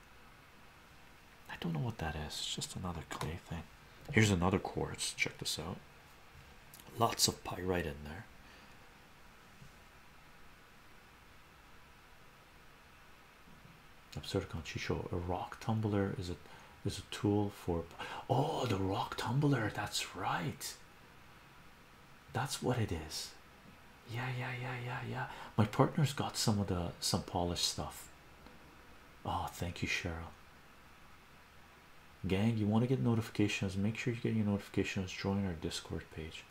I don't know what that is. It's just another clay thing. Here's another quartz. Check this out. Lots of pyrite in there. Absurd, can't Absurdicon Chicho, a rock tumbler is it is a tool for oh the rock tumbler that's right that's what it is yeah yeah yeah yeah yeah my partner's got some of the some polished stuff oh thank you Cheryl gang you want to get notifications make sure you get your notifications join our discord page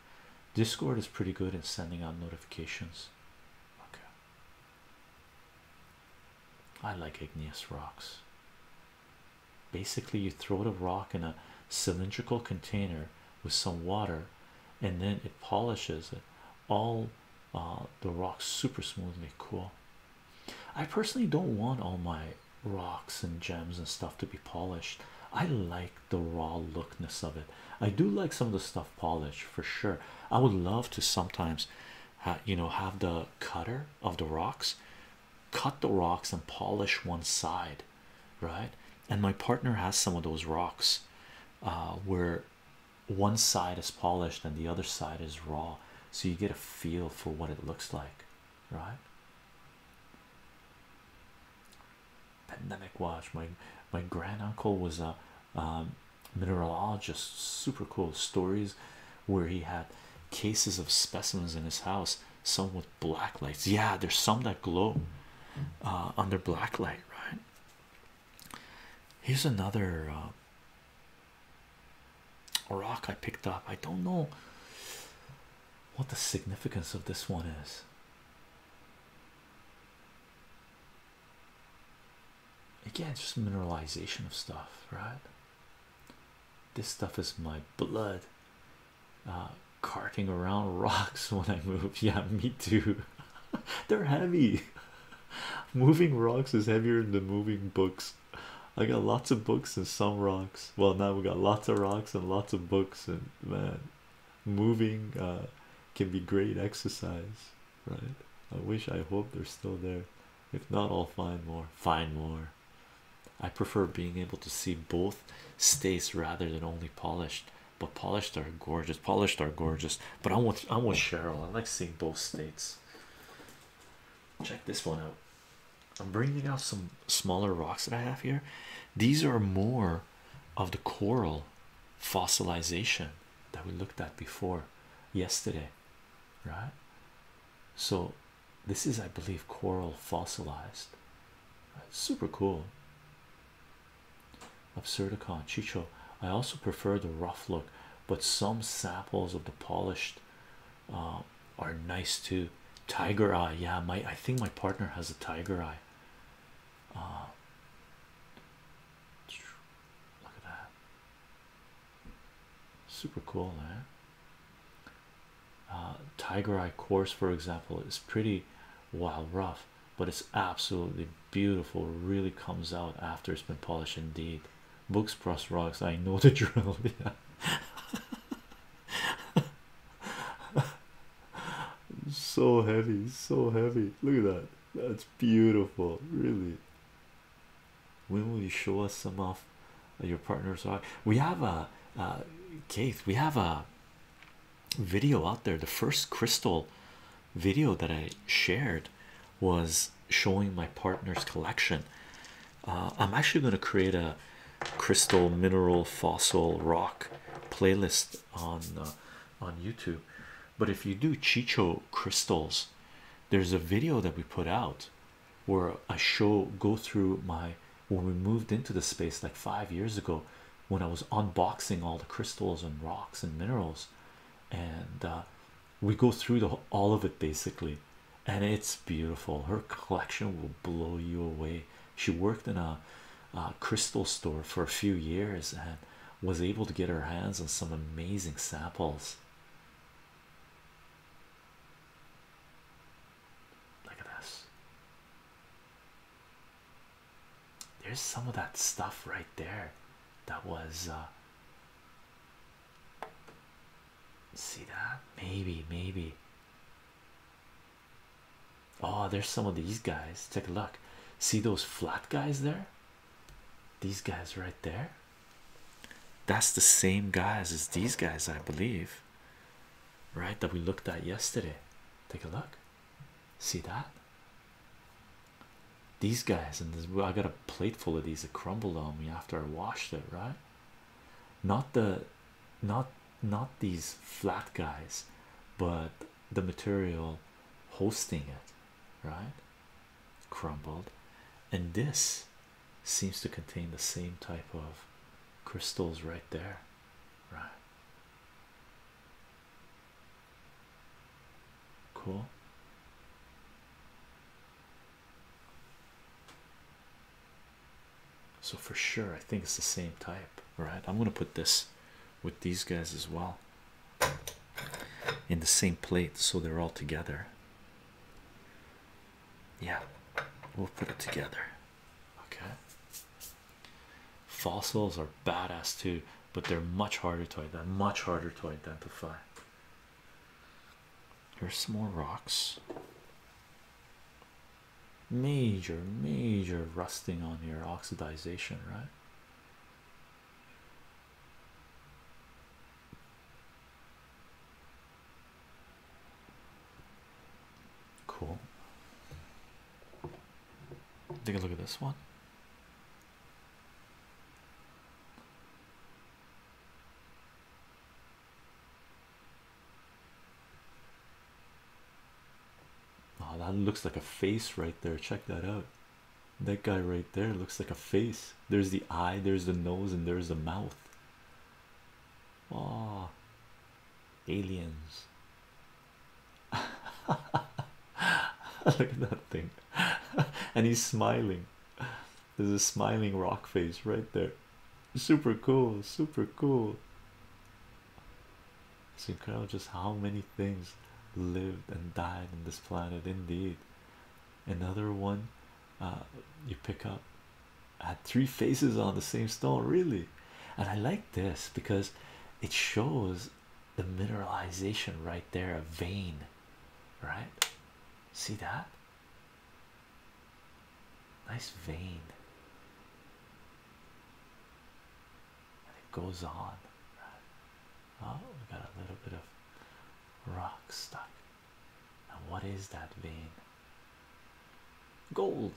Discord is pretty good in sending out notifications. Okay. I like igneous rocks. Basically, you throw it a rock in a cylindrical container with some water, and then it polishes it. All uh, the rocks super smoothly. Cool. I personally don't want all my rocks and gems and stuff to be polished. I like the raw lookness of it. I do like some of the stuff polish for sure. I would love to sometimes, you know, have the cutter of the rocks, cut the rocks and polish one side, right? And my partner has some of those rocks, uh, where one side is polished and the other side is raw, so you get a feel for what it looks like, right? pandemic watch my my grand uncle was a um, mineralogist super cool stories where he had cases of specimens in his house some with black lights yeah there's some that glow uh, under black light right here's another uh, rock I picked up I don't know what the significance of this one is Again, just mineralization of stuff, right? This stuff is my blood. Uh, carting around rocks when I move. Yeah, me too. They're heavy. moving rocks is heavier than moving books. I got lots of books and some rocks. Well, now we got lots of rocks and lots of books, and man, moving uh, can be great exercise, right? I wish, I hope they're still there. If not, I'll find more. Find more. I prefer being able to see both states rather than only polished. But polished are gorgeous. Polished are gorgeous. But I'm with I'm with Cheryl. I like seeing both states. Check this one out. I'm bringing out some smaller rocks that I have here. These are more of the coral fossilization that we looked at before yesterday, right? So, this is, I believe, coral fossilized. Super cool. Absurdicon Chicho. I also prefer the rough look, but some samples of the polished uh, are nice too. Tiger eye, yeah. My I think my partner has a tiger eye. Oh. look at that. Super cool, eh? Uh, Tiger Eye course, for example, is pretty wild rough, but it's absolutely beautiful. Really comes out after it's been polished, indeed. Books plus rocks. I know the drill. so heavy, so heavy. Look at that. That's beautiful, really. When will you show us some of your partners? Are we have a uh, Keith? We have a video out there. The first crystal video that I shared was showing my partner's collection. Uh, I'm actually going to create a crystal, mineral, fossil, rock playlist on uh, on YouTube. But if you do Chicho crystals, there's a video that we put out where I show go through my when we moved into the space like five years ago when I was unboxing all the crystals and rocks and minerals, and uh, we go through all of it basically. And it's beautiful, her collection will blow you away. She worked in a uh, crystal store for a few years and was able to get her hands on some amazing samples. Look at this. There's some of that stuff right there that was. Uh, see that? Maybe, maybe. Oh, there's some of these guys. Take a look. See those flat guys there? These guys right there. That's the same guys as these guys, I believe. Right, that we looked at yesterday. Take a look. See that? These guys, and I got a plate full of these that crumbled on me after I washed it. Right? Not the, not not these flat guys, but the material hosting it, right? Crumbled, and this seems to contain the same type of crystals right there, right? Cool. So, for sure, I think it's the same type, right? I'm gonna put this with these guys as well in the same plate so they're all together. Yeah, we'll put it together. Okay. Fossils are badass too, but they're much harder to identify, much harder to identify. Here's some more rocks. Major, major rusting on here, oxidation, right? Cool. Take a look at this one. Oh, that looks like a face right there. Check that out. That guy right there looks like a face. There's the eye, there's the nose, and there's the mouth. Oh, aliens. Look at that thing. and he's smiling. There's a smiling rock face right there. Super cool, super cool. It's incredible just how many things lived and died on this planet. Indeed, another one uh, you pick up had three faces on the same stone, really. And I like this because it shows the mineralization right there, a vein, right? See that? Nice vein and it goes on. Oh, we got a little bit of rock stuck. Now, what is that vein? Gold.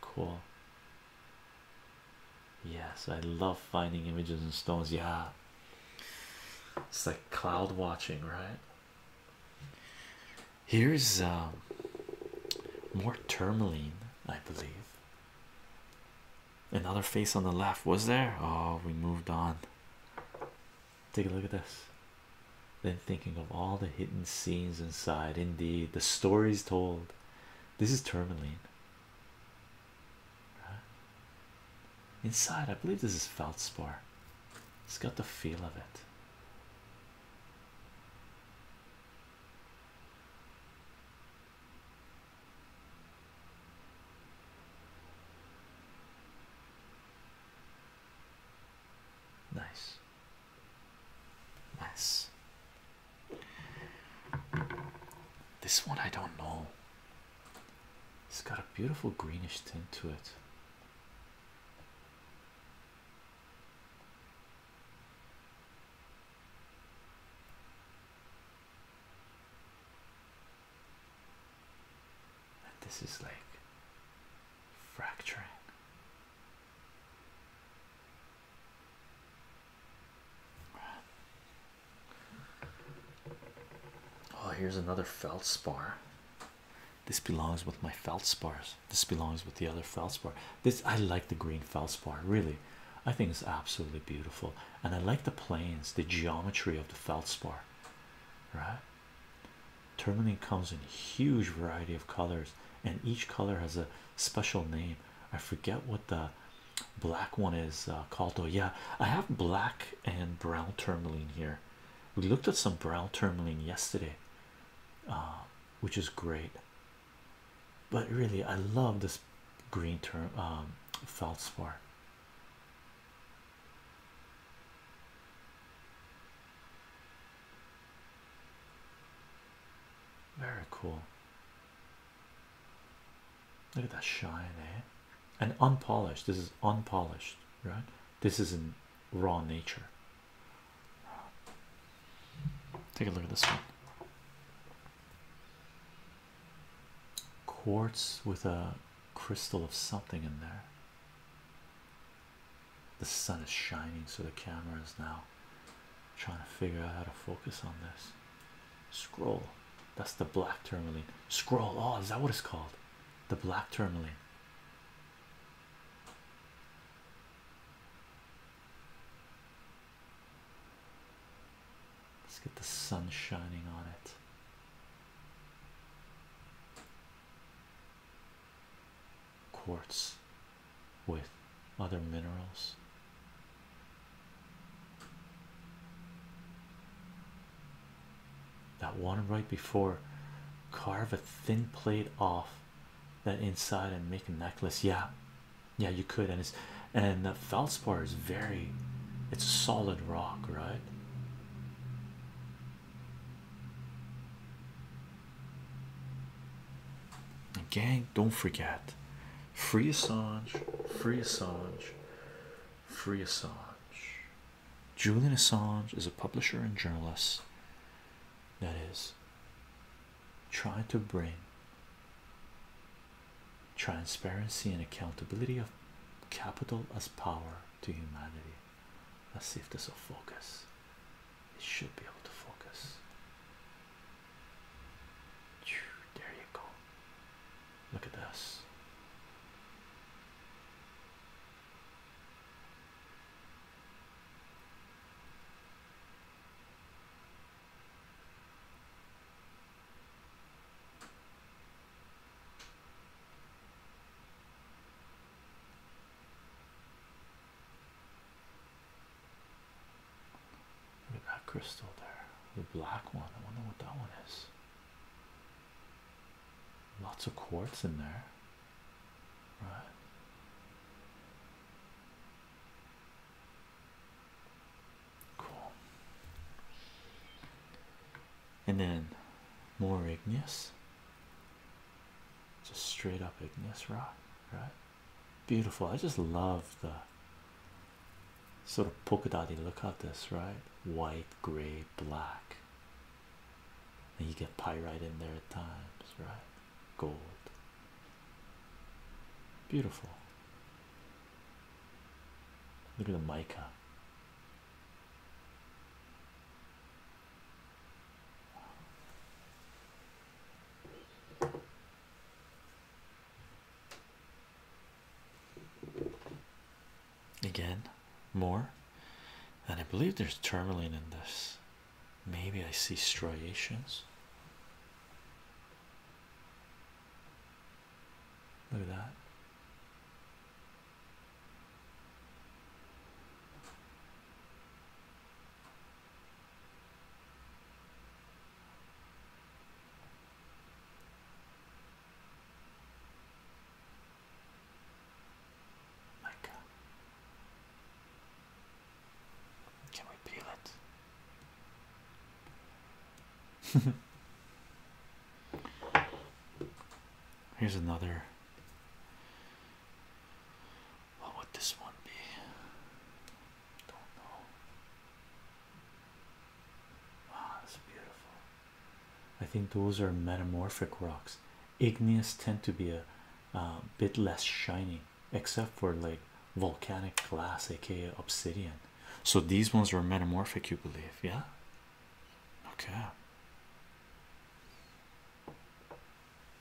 Cool. Yes, I love finding images and stones. Yeah, it's like cloud watching, right? Here's um, more tourmaline, I believe. Another face on the left was there. Oh, we moved on. Take a look at this. Then thinking of all the hidden scenes inside, indeed, the stories told. This is tourmaline. Inside, I believe this is feldspar. It's got the feel of it. Nice. Nice. This one I don't know. It's got a beautiful greenish tint to it this is like fracturing. Oh, here's another feldspar. This belongs with my feldspars. This belongs with the other feldspar. This I like the green feldspar really. I think it's absolutely beautiful, and I like the planes, the geometry of the feldspar. Right? Turmaline comes in huge variety of colors, and each color has a special name. I forget what the black one is uh, called. Oh yeah, I have black and brown turmaline here. We looked at some brown turmaline yesterday. Um, which is great. But really, I love this green term um, feldspar. Very cool. Look at that shine, eh? And unpolished. This is unpolished right? This is in raw nature. Take a look at this one. Quartz with a crystal of something in there. The sun is shining, so the camera is now trying to figure out how to focus on this. Scroll. That's the black tourmaline. Scroll. Oh, is that what it's called? The black tourmaline. Let's get the sun shining on it. Quartz with other minerals. That one right before, carve a thin plate off that inside and make a necklace yeah yeah you could and it's and the feldspar is very it's solid rock right and don't forget free Assange free Assange free Assange Julian Assange is a publisher and journalist that is trying to bring transparency and accountability of capital as power to humanity. Let's see if focus. It should be able to focus. There you go. Look at this. Look at that crystal there, the black one. I wonder what that one is. Lots of quartz in there. Right. Cool. And then more igneous. Just straight up igneous rock, right? Beautiful. I just love the sort of polka dotty look at this, right? White, gray, black and you get pyrite in there at times, right? Gold, beautiful. Look at the mica. Again, more, and I believe there's tourmaline in this. Maybe I see striations. Look at that. Like, uh, can we peel it? Here's another. What would this one be? Don't know. Wow, ah, that's beautiful. I think those are metamorphic rocks. Igneous tend to be a a um, bit less shiny except for like volcanic glass aka obsidian so these ones were metamorphic you believe yeah okay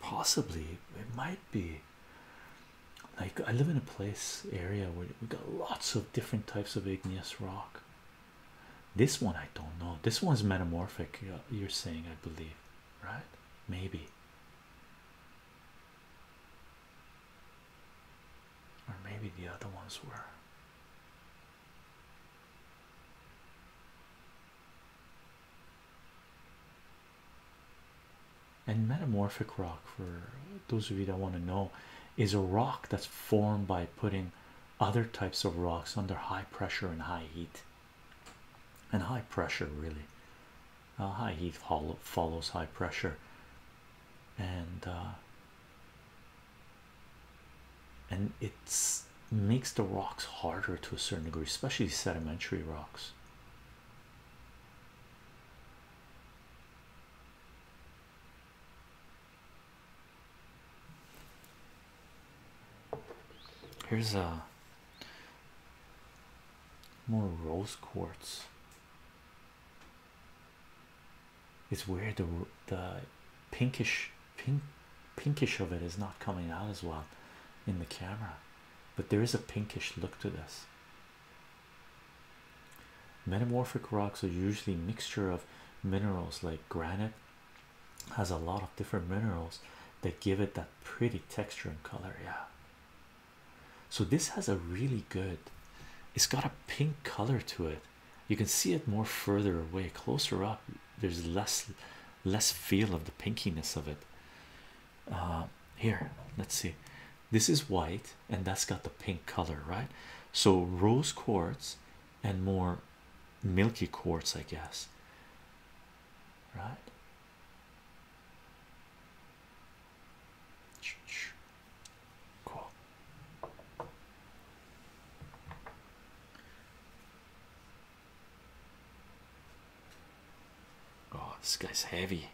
possibly it might be like i live in a place area where we got lots of different types of igneous rock this one i don't know this one's metamorphic you're saying i believe right? Maybe, or maybe the other ones were. And metamorphic rock, for those of you that want to know, is a rock that's formed by putting other types of rocks under high pressure and high heat and high pressure really uh, high heat follows high pressure and uh, and it makes the rocks harder to a certain degree especially sedimentary rocks Here's a uh, more rose quartz. It's where the the pinkish pink pinkish of it is not coming out as well in the camera, but there is a pinkish look to this. Metamorphic rocks are usually a mixture of minerals like granite, has a lot of different minerals that give it that pretty texture and color. Yeah, so this has a really good, it's got a pink color to it. You can see it more further away, closer up. There's less, less feel of the pinkiness of it. Uh, here, let's see. This is white, and that's got the pink color, right? So rose quartz and more milky quartz, I guess. Right? Cool. Oh, this guy's heavy.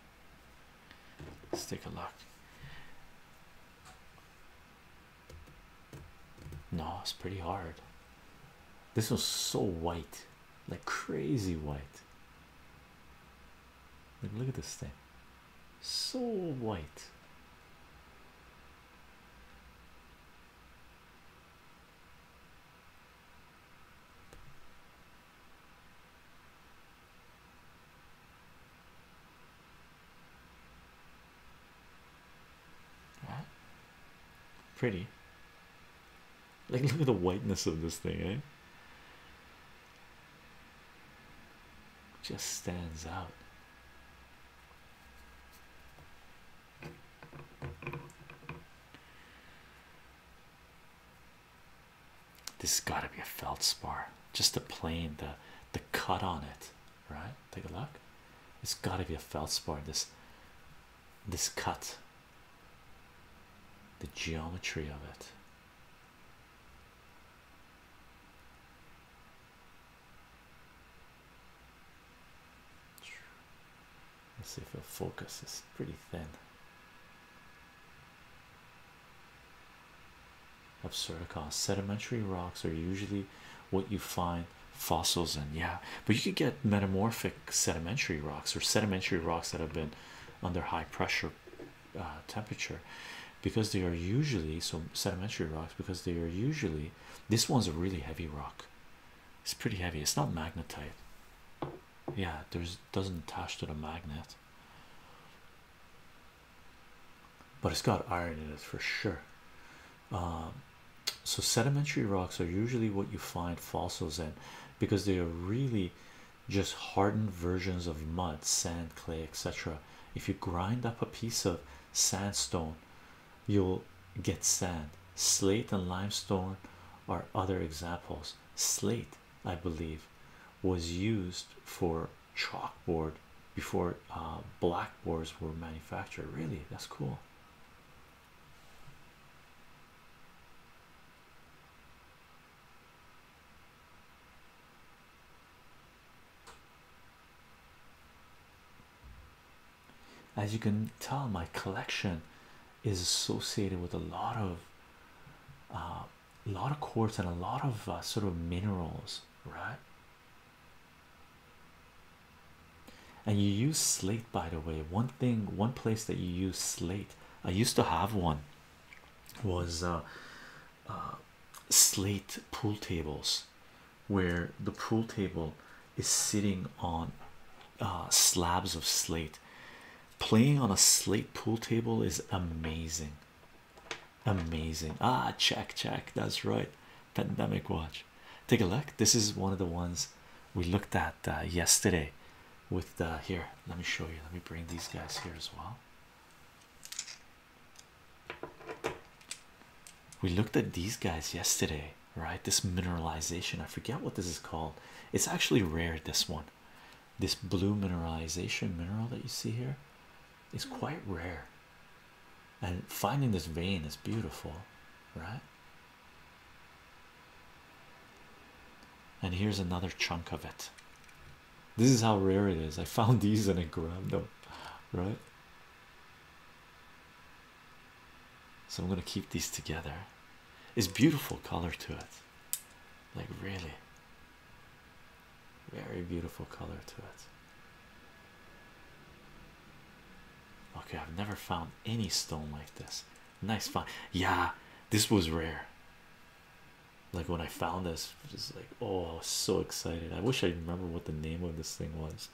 Let's take a look. No, it's pretty hard. This was so white like crazy white. Like, look at this thing, so white. Pretty, like, look at the whiteness of this thing, eh? Just stands out. This has got to be a feldspar, just the plane, the the cut on it, right? Take a look. It's got to be a feldspar. This this cut, the geometry of it. Let's see if it focus, is pretty thin. Absurdicon sedimentary rocks are usually what you find fossils in, yeah, but you could get metamorphic sedimentary rocks or sedimentary rocks that have been under high pressure uh, temperature because they are usually so sedimentary rocks because they are usually this one's a really heavy rock it's pretty heavy it's not magnetite yeah there's doesn't attach to the magnet but it's got iron in it for sure um, so sedimentary rocks are usually what you find fossils in because they are really just hardened versions of mud, sand, clay, etc. If you grind up a piece of sandstone, you'll get sand. Slate and limestone are other examples. Slate, I believe, was used for chalkboard before uh, blackboards were manufactured. Really, that's cool. As you can tell, my collection is associated with a lot of uh, a lot of quartz and a lot of uh, sort of minerals, right? and you use slate by the way one thing one place that you use slate i used to have one was uh, uh, slate pool tables where the pool table is sitting on uh, slabs of slate playing on a slate pool table is amazing amazing ah check check that's right pandemic watch take a look this is one of the ones we looked at uh, yesterday with uh, here let me show you let me bring these guys here as well we looked at these guys yesterday right this mineralization i forget what this is called it's actually rare this one this blue mineralization mineral that you see here is quite rare and finding this vein is beautiful right and here's another chunk of it. This is how rare it is. I found these and I grabbed them, right? So I'm gonna keep these together. It's beautiful color to it, like really, very beautiful color to it. Okay, I've never found any stone like this nice find yeah this was rare like when i found this just like oh so excited i wish i remember what the name of this thing was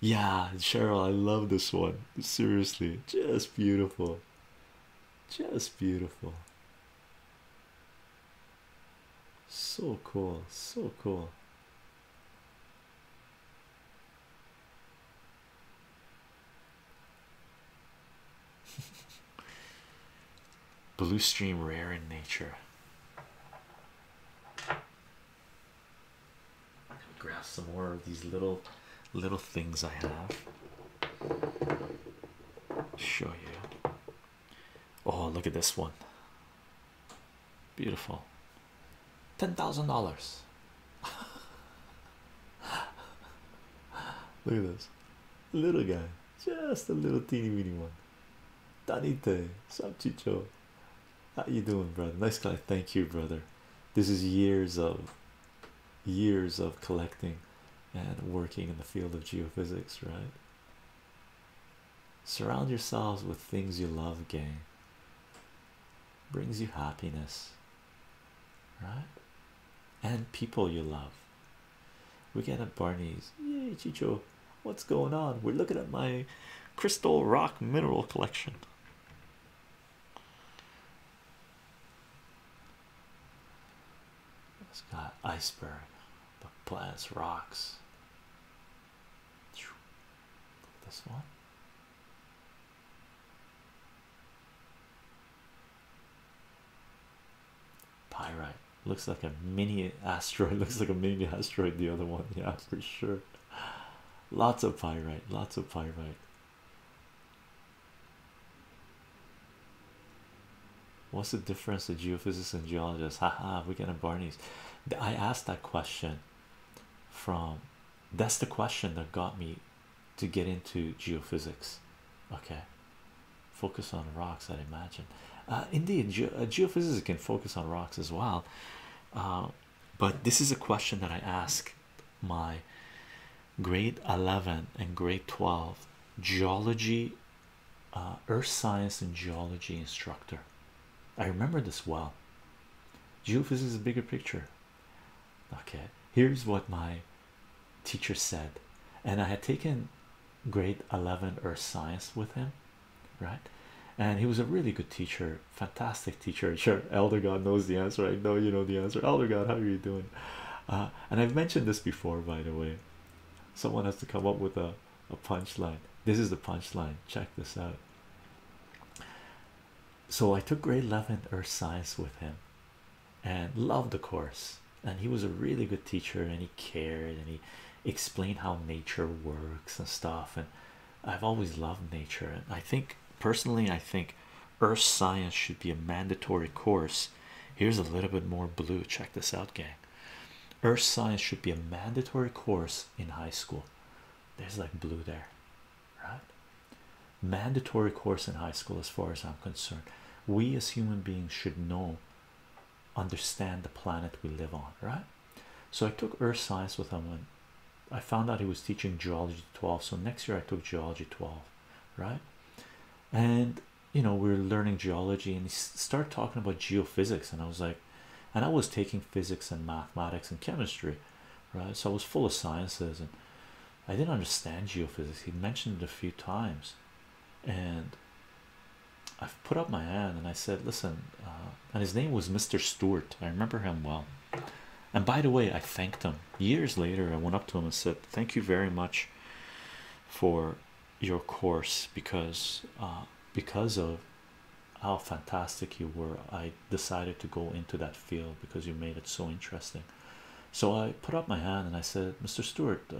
yeah cheryl i love this one seriously just beautiful just beautiful so cool so cool Blue stream rare in nature. Grab some more of these little little things I have. Show you. Oh, look at this one. Beautiful. Ten thousand dollars. Look at this little guy, just a little teeny weeny one. Danite, Sapchicho. How you doing, brother? Nice guy. Thank you, brother. This is years of years of collecting and working in the field of geophysics, right? Surround yourselves with things you love, gang. Brings you happiness, right? And people you love. We get at Barney's. Yay, Chicho, what's going on? We're looking at my crystal rock mineral collection. It's got iceberg, but plants, rocks. This one. Pyrite looks like a mini asteroid, looks like a mini asteroid. The other one, yeah, for sure. Lots of pyrite, lots of pyrite. What's the difference the geophysicists and geologists? Haha, we get a Barney's. I asked that question from that's the question that got me to get into geophysics. Okay, focus on rocks. i imagine, uh, indeed, ge uh, geophysics can focus on rocks as well. Uh, but this is a question that I ask my grade 11 and grade 12 geology, uh, earth science, and geology instructor. I remember this well. Geophysics is a bigger picture. Okay, here's what my teacher said, and I had taken grade 11 earth science with him, right? And he was a really good teacher, fantastic teacher. Sure, Elder God knows the answer. I know you know the answer. Elder God, how are you doing? Uh, and I've mentioned this before, by the way. Someone has to come up with a a punchline. This is the punchline. Check this out. So I took grade 11 earth science with him and loved the course. And he was a really good teacher and he cared and he explained how nature works and stuff. And I've always loved nature. And I think personally, I think earth science should be a mandatory course. Here's a little bit more blue. Check this out, gang. Earth science should be a mandatory course in high school. There's like blue there, right? Mandatory course in high school, as far as I'm concerned. We as human beings should know, understand the planet we live on, right? So I took earth science with him and I found out he was teaching geology 12. So next year I took geology 12, right? And you know, we we're learning geology and he started talking about geophysics, and I was like, and i was taking physics and mathematics and chemistry right so i was full of sciences and i didn't understand geophysics he mentioned it a few times and i've put up my hand and i said listen uh, and his name was mr stewart i remember him well and by the way i thanked him years later i went up to him and said thank you very much for your course because uh, because of how fantastic you were. I decided to go into that field because you made it so interesting. So I put up my hand and I said, Mr. Stewart, uh,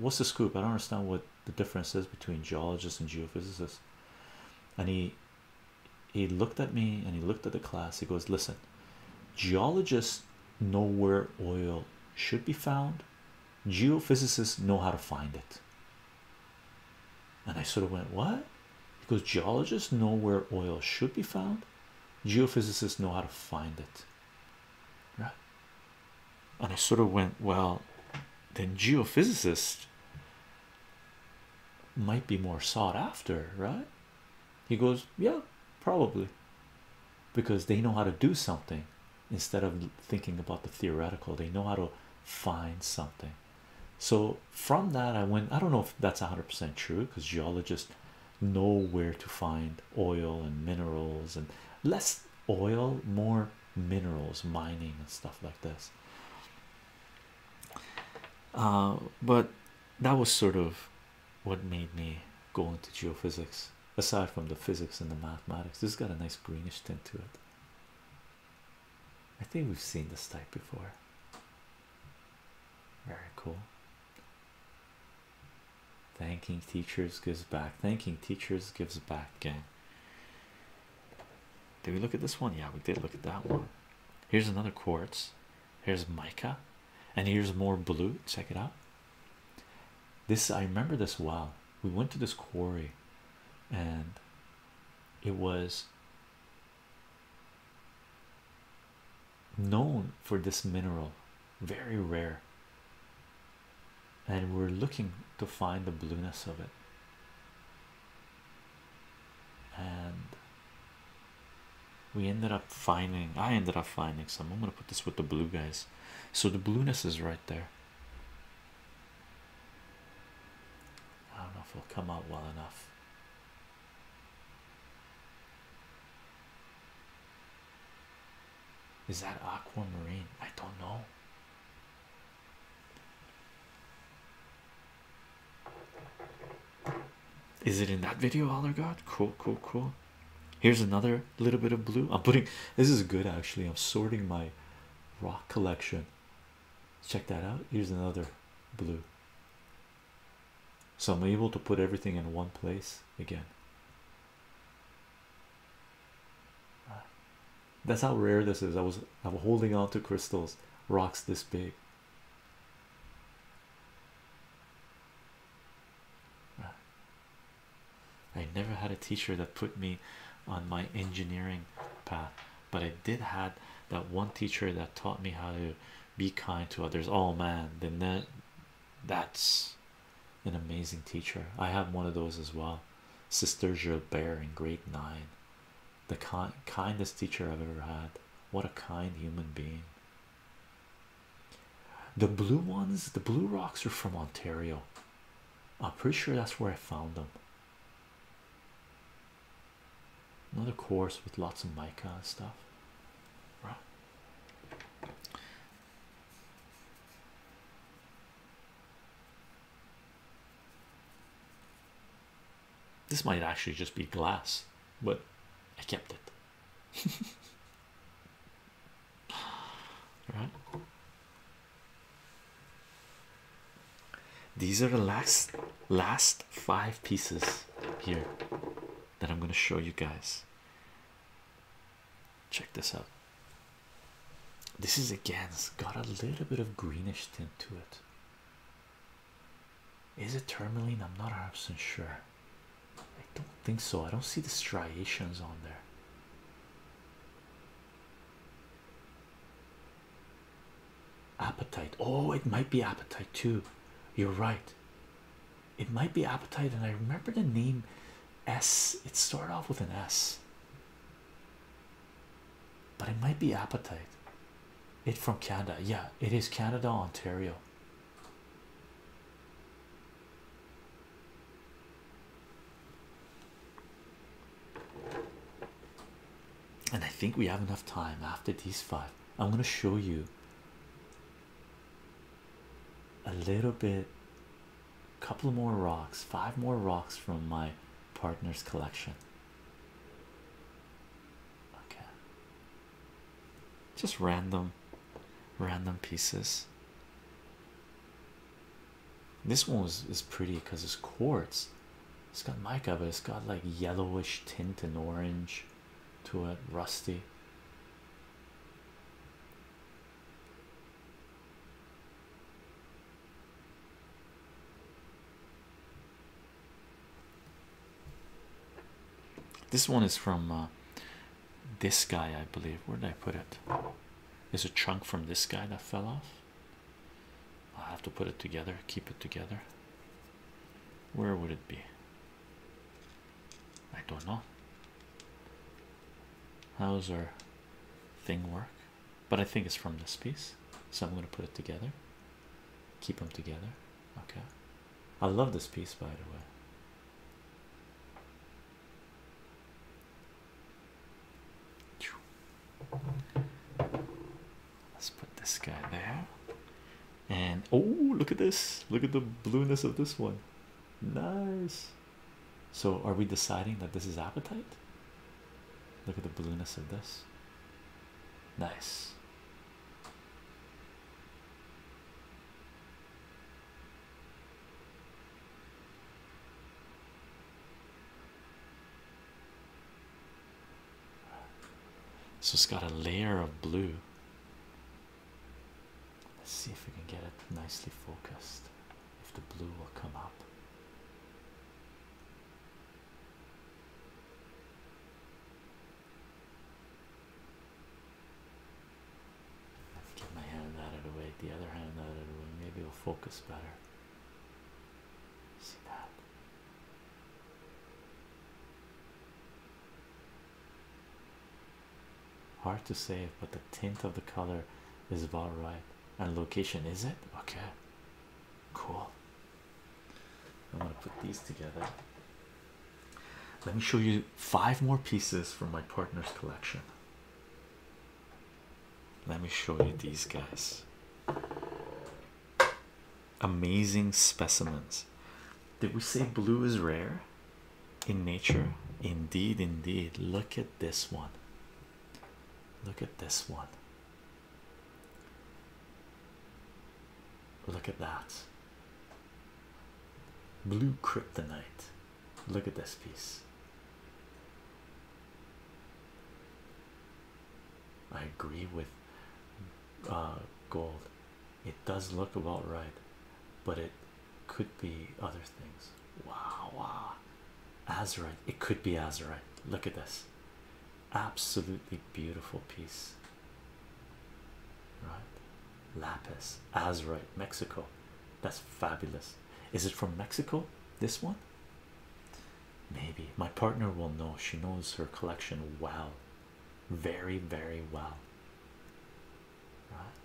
what's the scoop? I don't understand what the difference is between geologists and geophysicists. And he he looked at me and he looked at the class. He goes, Listen, geologists know where oil should be found, geophysicists know how to find it. And I sort of went, What? He goes, Geologists know where oil should be found, geophysicists know how to find it. Right? And I sort of went, Well, then geophysicists might be more sought after, right? He goes, Yeah, probably. Because they know how to do something instead of thinking about the theoretical, they know how to find something so from that i went i don't know if that's 100% true because geologists know where to find oil and minerals and less oil more minerals mining and stuff like this uh, but that was sort of what made me go into geophysics aside from the physics and the mathematics this has got a nice greenish tint to it I think we've seen this type before. Very cool. Thanking teachers gives back. Thanking teachers gives back, again. Did we look at this one? Yeah, we did look at that one. Here's another quartz. Here's mica. And here's more blue. Check it out. This I remember this well. We went to this quarry and it was known for this mineral, very rare, and we're looking to find the blueness of it. And we ended up finding, I ended up finding some. I'm going to put this with the blue guys. So the blueness is right there. I don't know if it'll come out well enough. Is that aquamarine? I don't know. Is it in that video, Allergod? Cool, cool, cool. Here's another little bit of blue. I'm putting this is good actually. I'm sorting my rock collection check that out here's another blue so i'm able to put everything in one place again that's how rare this is i was i'm holding on to crystals rocks this big i never had a teacher that put me on my engineering path but I did had that one teacher that taught me how to be kind to others. Oh man, then that that's an amazing teacher. I have one of those as well. Sister Gilbert in grade nine. The kind kindest teacher I've ever had. What a kind human being. The blue ones, the blue rocks are from Ontario. I'm pretty sure that's where I found them. Another course with lots of mica and stuff. This might actually just be glass, but I kept it. right. These are the last last five pieces here that I'm going to show you guys. Check this out. This is again got a little bit of greenish tint to it. Is it tourmaline? I'm not absolutely sure. I don't think so. I don't see the striations on there appetite oh it might be appetite too you're right it might be appetite and i remember the name s it started off with an s but it might be appetite it from canada yeah it is canada ontario and I think we have enough time after these five. I'm going to show you a little bit, couple more rocks, five more rocks from my partner's collection. Okay. Just random, random pieces. This one was is pretty because it's quartz. It's got mica, but it's got like yellowish tint and orange to it, rusty. This one is from uh, this guy, I believe. Where did I put it? Is a chunk from this guy that fell off. I have to put it together, keep it together. Where would it be? I don't know. How's our thing work? But I think it's from this piece, so I'm going to put it together, keep them together. Okay, I love this piece by the way. Let's put this guy there. And oh, look at this. Look at the blueness of this one. Nice. So, are we deciding that this is appetite? Look at the blueness of this. Nice. So it's got a layer of blue. Let's see if we can get it nicely focused. If the blue will come up. Let's get my hand out of the way, the other hand out of the way. Maybe we will focus better. See that? Hard to say, but the tint of the color is about right. And location is it? Okay, cool. I'm gonna put these together. Let me show you five more pieces from my partner's collection. Let me show you these guys amazing specimens. Did we say blue is rare in nature? Indeed, indeed. Look at this one. Look at this one. Look at that. Blue kryptonite. Look at this piece. I agree with uh, gold. It does look about right, but it could be other things. Wow, wow. Azurite. It could be Azurite. Look at this. Absolutely beautiful piece. Right? Lapis. Azurite. Mexico. That's fabulous. Is it from Mexico? This one? Maybe my partner will know. She knows her collection well, very, very well. Right?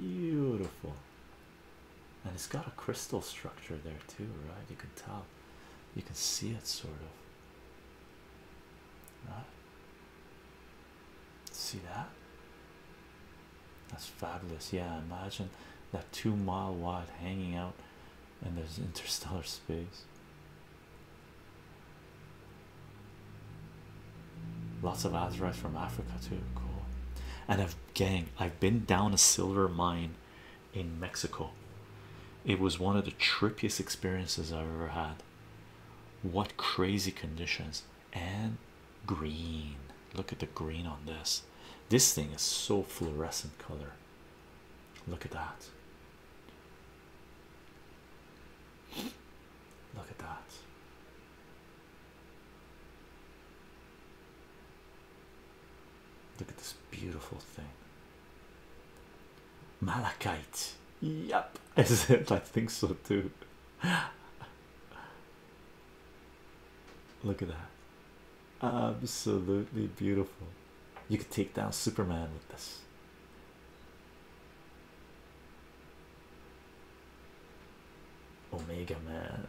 Beautiful, and it's got a crystal structure there too, right? You can tell, you can see it sort of. Right? See that? That's fabulous. Yeah, imagine that two mile wide hanging out, in this interstellar space. Lots of azurites from Africa too. Cool. And I've gang, I've been down a silver mine in Mexico. It was one of the trippiest experiences I've ever had. What crazy conditions! and green. Look at the green on this. This thing is so fluorescent color. Look at that. Look at that. Look at this beautiful thing. Malachite. Yep. Is it? I think so too. Look at that. Absolutely beautiful. You could take down Superman with this. Omega Man.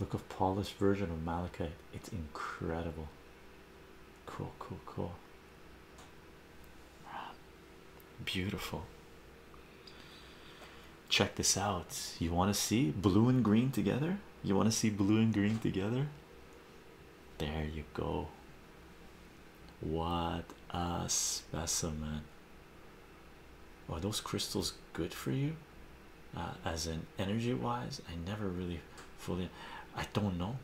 Look of polished version of malachite. It's incredible. Cool, cool, cool. Beautiful. Check this out. You want to see blue and green together? You want to see blue and green together? There you go. What a specimen. Are those crystals good for you? Uh, as an energy wise i never really fully i don't know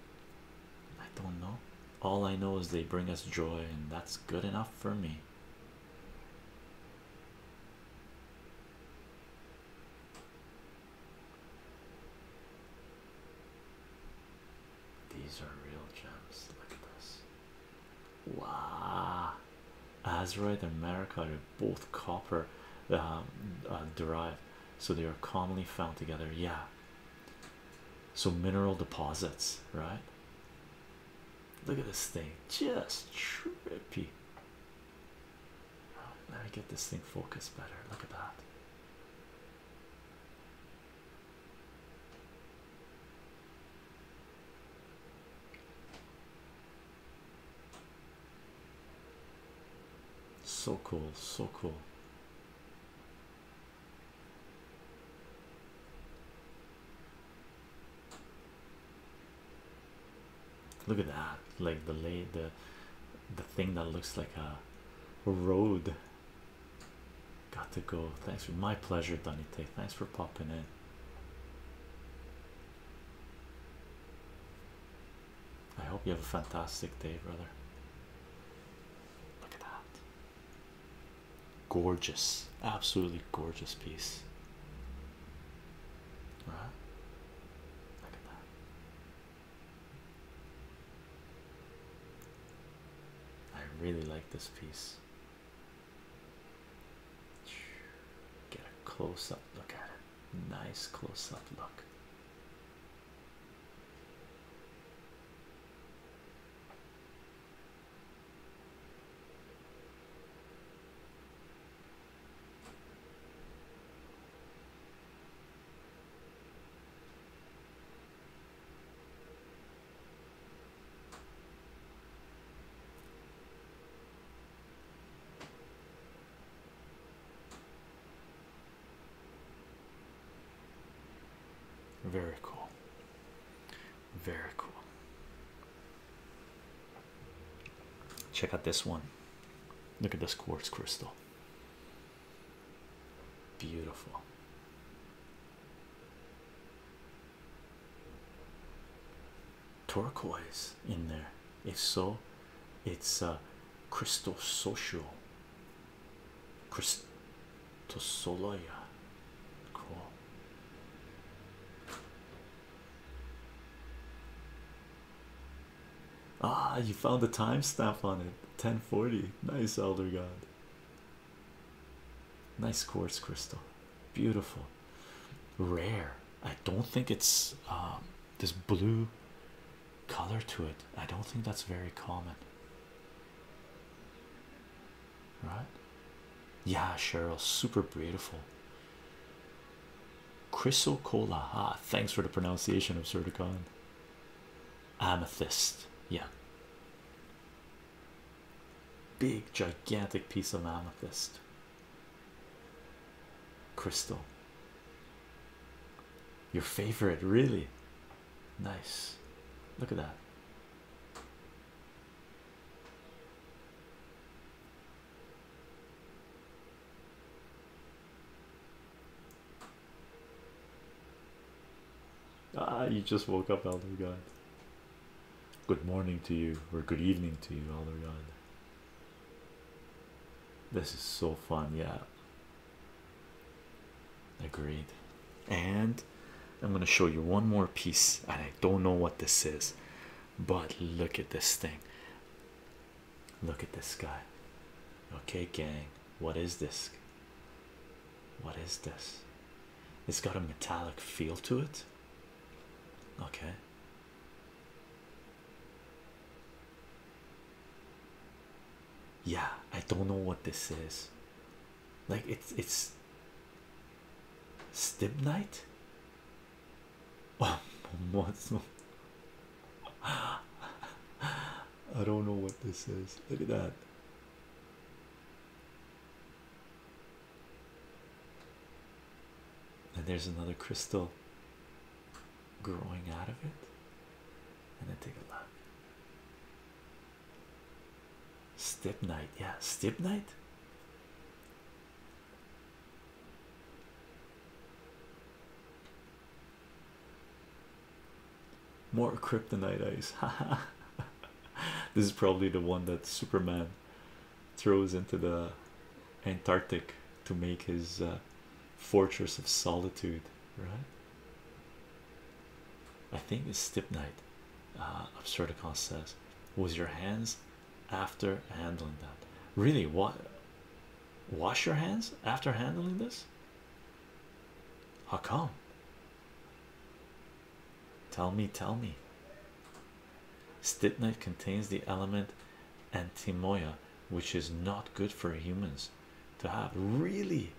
i don't know all i know is they bring us joy and that's good enough for me these are real gems. like this. Wow. the America both copper um, uh, derived, so they are commonly found together. Yeah, so mineral deposits, right? Look at this thing, just trippy. Let me get this thing focused better. Look at that so cool so cool look at that like the lay the the thing that looks like a road got to go thanks for my pleasure Donny Tay thanks for popping in I hope you have a fantastic day, brother. Look at that. Gorgeous, absolutely gorgeous piece. All right? Look that. I really like this piece. Get a close up look at it. Nice close up look. Very cool. Very cool. Check out this one. Look at this quartz crystal. Beautiful turquoise in there? it's so, it's uh, Christosocial. Christosoloia. Cool. Ah, you found the timestamp on it. 1040. Nice, Elder God. Nice quartz crystal. Beautiful. Rare. I don't think it's um, this blue color to it. I don't think that's very common, right? Yeah, Cheryl, super beautiful. Chrysocolla, ah, thanks for the pronunciation of Certicon. Amethyst, yeah. Big, gigantic piece of amethyst. Crystal, your favorite, really nice. Look at that. Ah, you just woke up, Elder God. Good morning to you, or good evening to you, Elder God. This is so fun, yeah. Agreed. And I'm going to show you one more piece, and I don't know what this is, but look at this thing. Look at this guy. Okay, gang, what is this? What is this? It's got a metallic feel to it. Okay yeah i don't know what this is like it's it's stibnite oh what's i don't know what this is look at that and there's another crystal growing out of it, and then take a look. night, yeah, step night. More kryptonite ice. this is probably the one that Superman throws into the Antarctic to make his uh, Fortress of Solitude, right? I think it's Stip Night, uh, says. Was your hands after handling that? Really? What? Wash your hands after handling this? How come? Tell me, tell me. Stip contains the element timoya, which is not good for humans to have. Really,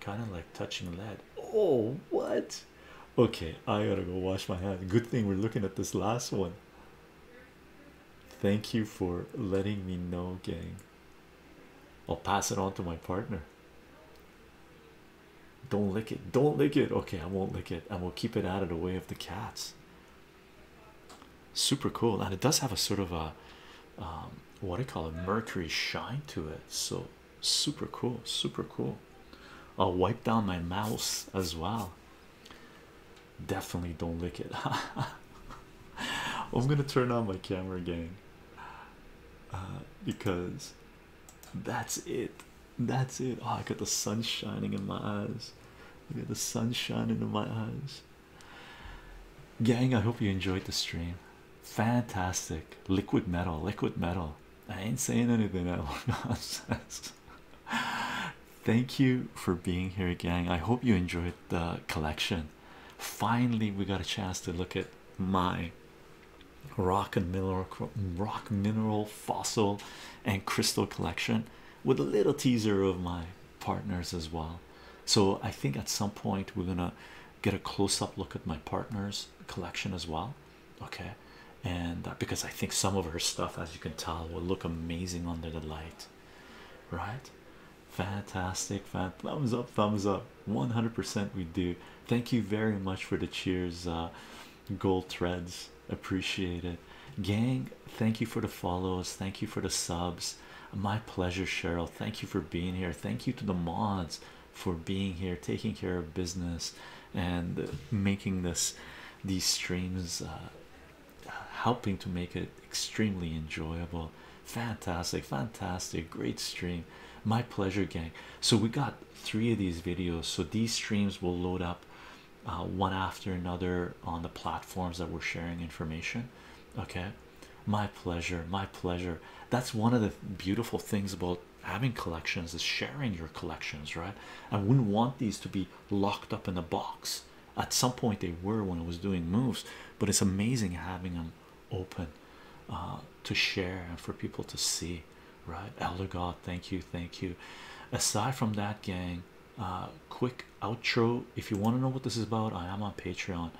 kind of like touching lead. Oh, what? Okay, I gotta go wash my hands. Good thing we're looking at this last one. Thank you for letting me know, gang. I'll pass it on to my partner. Don't lick it, don't lick it. Okay, I won't lick it, I will keep it out of the way of the cats. Super cool, and it does have a sort of a um, what do you call it, mercury shine to it. So super cool, super cool. I'll wipe down my mouse as well. Definitely don't lick it. I'm gonna turn on my camera again uh, because that's it. That's it. Oh, I got the sun shining in my eyes. Look at the sun shining in my eyes. Gang, I hope you enjoyed the stream. Fantastic. Liquid metal, liquid metal. I ain't saying anything else nonsense. Thank you for being here, gang. I hope you enjoyed the collection. Finally, we got a chance to look at my rock and mineral rock mineral fossil and crystal collection with a little teaser of mine partners as well. So I think at some point we're gonna get a close-up look at my partner's collection as well. Okay, and uh, because I think some of her stuff, as you can tell, will look amazing under the light, right? Fantastic, thumbs up, thumbs up, 100% we do. Thank you very much for the cheers, uh, gold threads, appreciate it gang. Thank you for the follows, thank you for the subs. My pleasure, Cheryl. Thank you for being here. Thank you to the mods for being here, taking care of business, and making this these streams uh, helping to make it extremely enjoyable. Fantastic, fantastic, great stream. My pleasure, gang. So, we got three of these videos, so these streams will load up uh, one after another on the platforms that we're sharing information. Okay, my pleasure, my pleasure. That's one of the beautiful things about having collections is sharing your collections, right? I wouldn't want these to be locked up in a box. At some point, they were when I was doing moves, but it's amazing having them open uh, to share and for people to see, right? Elder God, thank you, thank you. Aside from that, gang, uh, quick outro. If you want to know what this is about, I am on Patreon.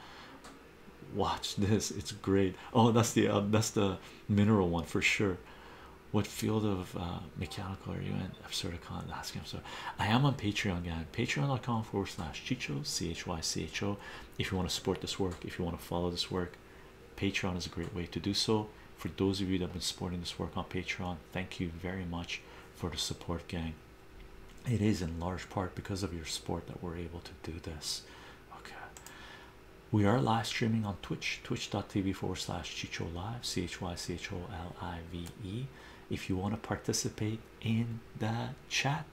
Watch this; it's great. Oh, that's the uh, that's the mineral one for sure. What field of uh, mechanical are you in? I'm Absurdicon. Ask him. So I am on Patreon, gang. Patreon.com forward slash Chicho C H Y C H O. If you want to support this work, if you want to follow this work, Patreon is a great way to do so. For those of you that have been supporting this work on Patreon, thank you very much for the support, gang it is in large part because of your support that we're able to do this. Okay, we are live streaming on Twitch, twitch.tv forward slash Chicho Live, C H Y C H O L I V E. If you want to participate in the chat,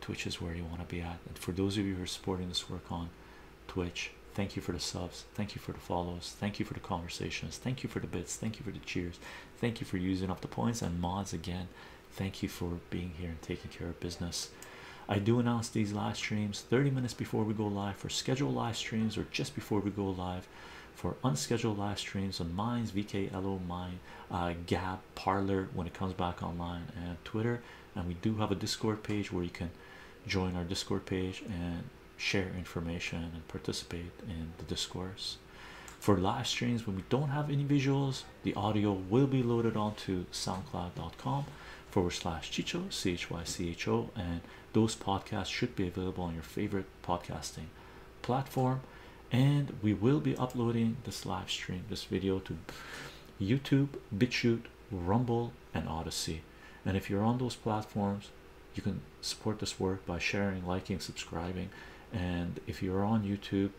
Twitch is where you want to be at. And for those of you who are supporting this work on Twitch, thank you for the subs, thank you for the follows, thank you for the conversations, thank you for the bits, thank you for the cheers, Thank you for using up the points and mods again. Thank you for being here and taking care of business. I do announce these live streams 30 minutes before we go live for scheduled live streams or just before we go live for unscheduled live streams on Mines, VKLO, Mine, uh, Gab, Parlor when it comes back online, and Twitter. And we do have a Discord page where you can join our Discord page and share information and participate in the discourse. For live streams, when we don't have any visuals, the audio will be loaded onto soundcloud.com forward slash chicho, C H Y C H O, and those podcasts should be available on your favorite podcasting platform. And we will be uploading this live stream, this video to YouTube, BitChute, Rumble, and Odyssey. And if you're on those platforms, you can support this work by sharing liking subscribing and if you're on youtube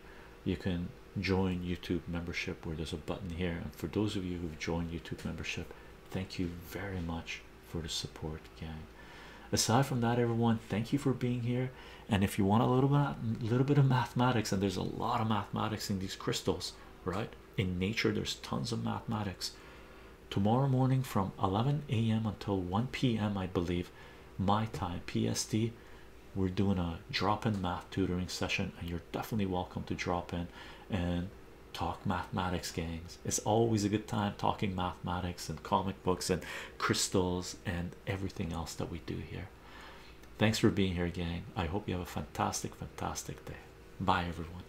you can join youtube membership where there's a button here and for those of you who've joined youtube membership thank you very much for the support gang aside from that everyone thank you for being here and if you want a little bit little bit of mathematics and there's a lot of mathematics in these crystals right in nature there's tons of mathematics tomorrow morning from 11 a.m until 1 p.m i believe my time PSD. we're doing a drop-in math tutoring session and you're definitely welcome to drop in and talk mathematics gangs it's always a good time talking mathematics and comic books and crystals and everything else that we do here thanks for being here gang i hope you have a fantastic fantastic day bye everyone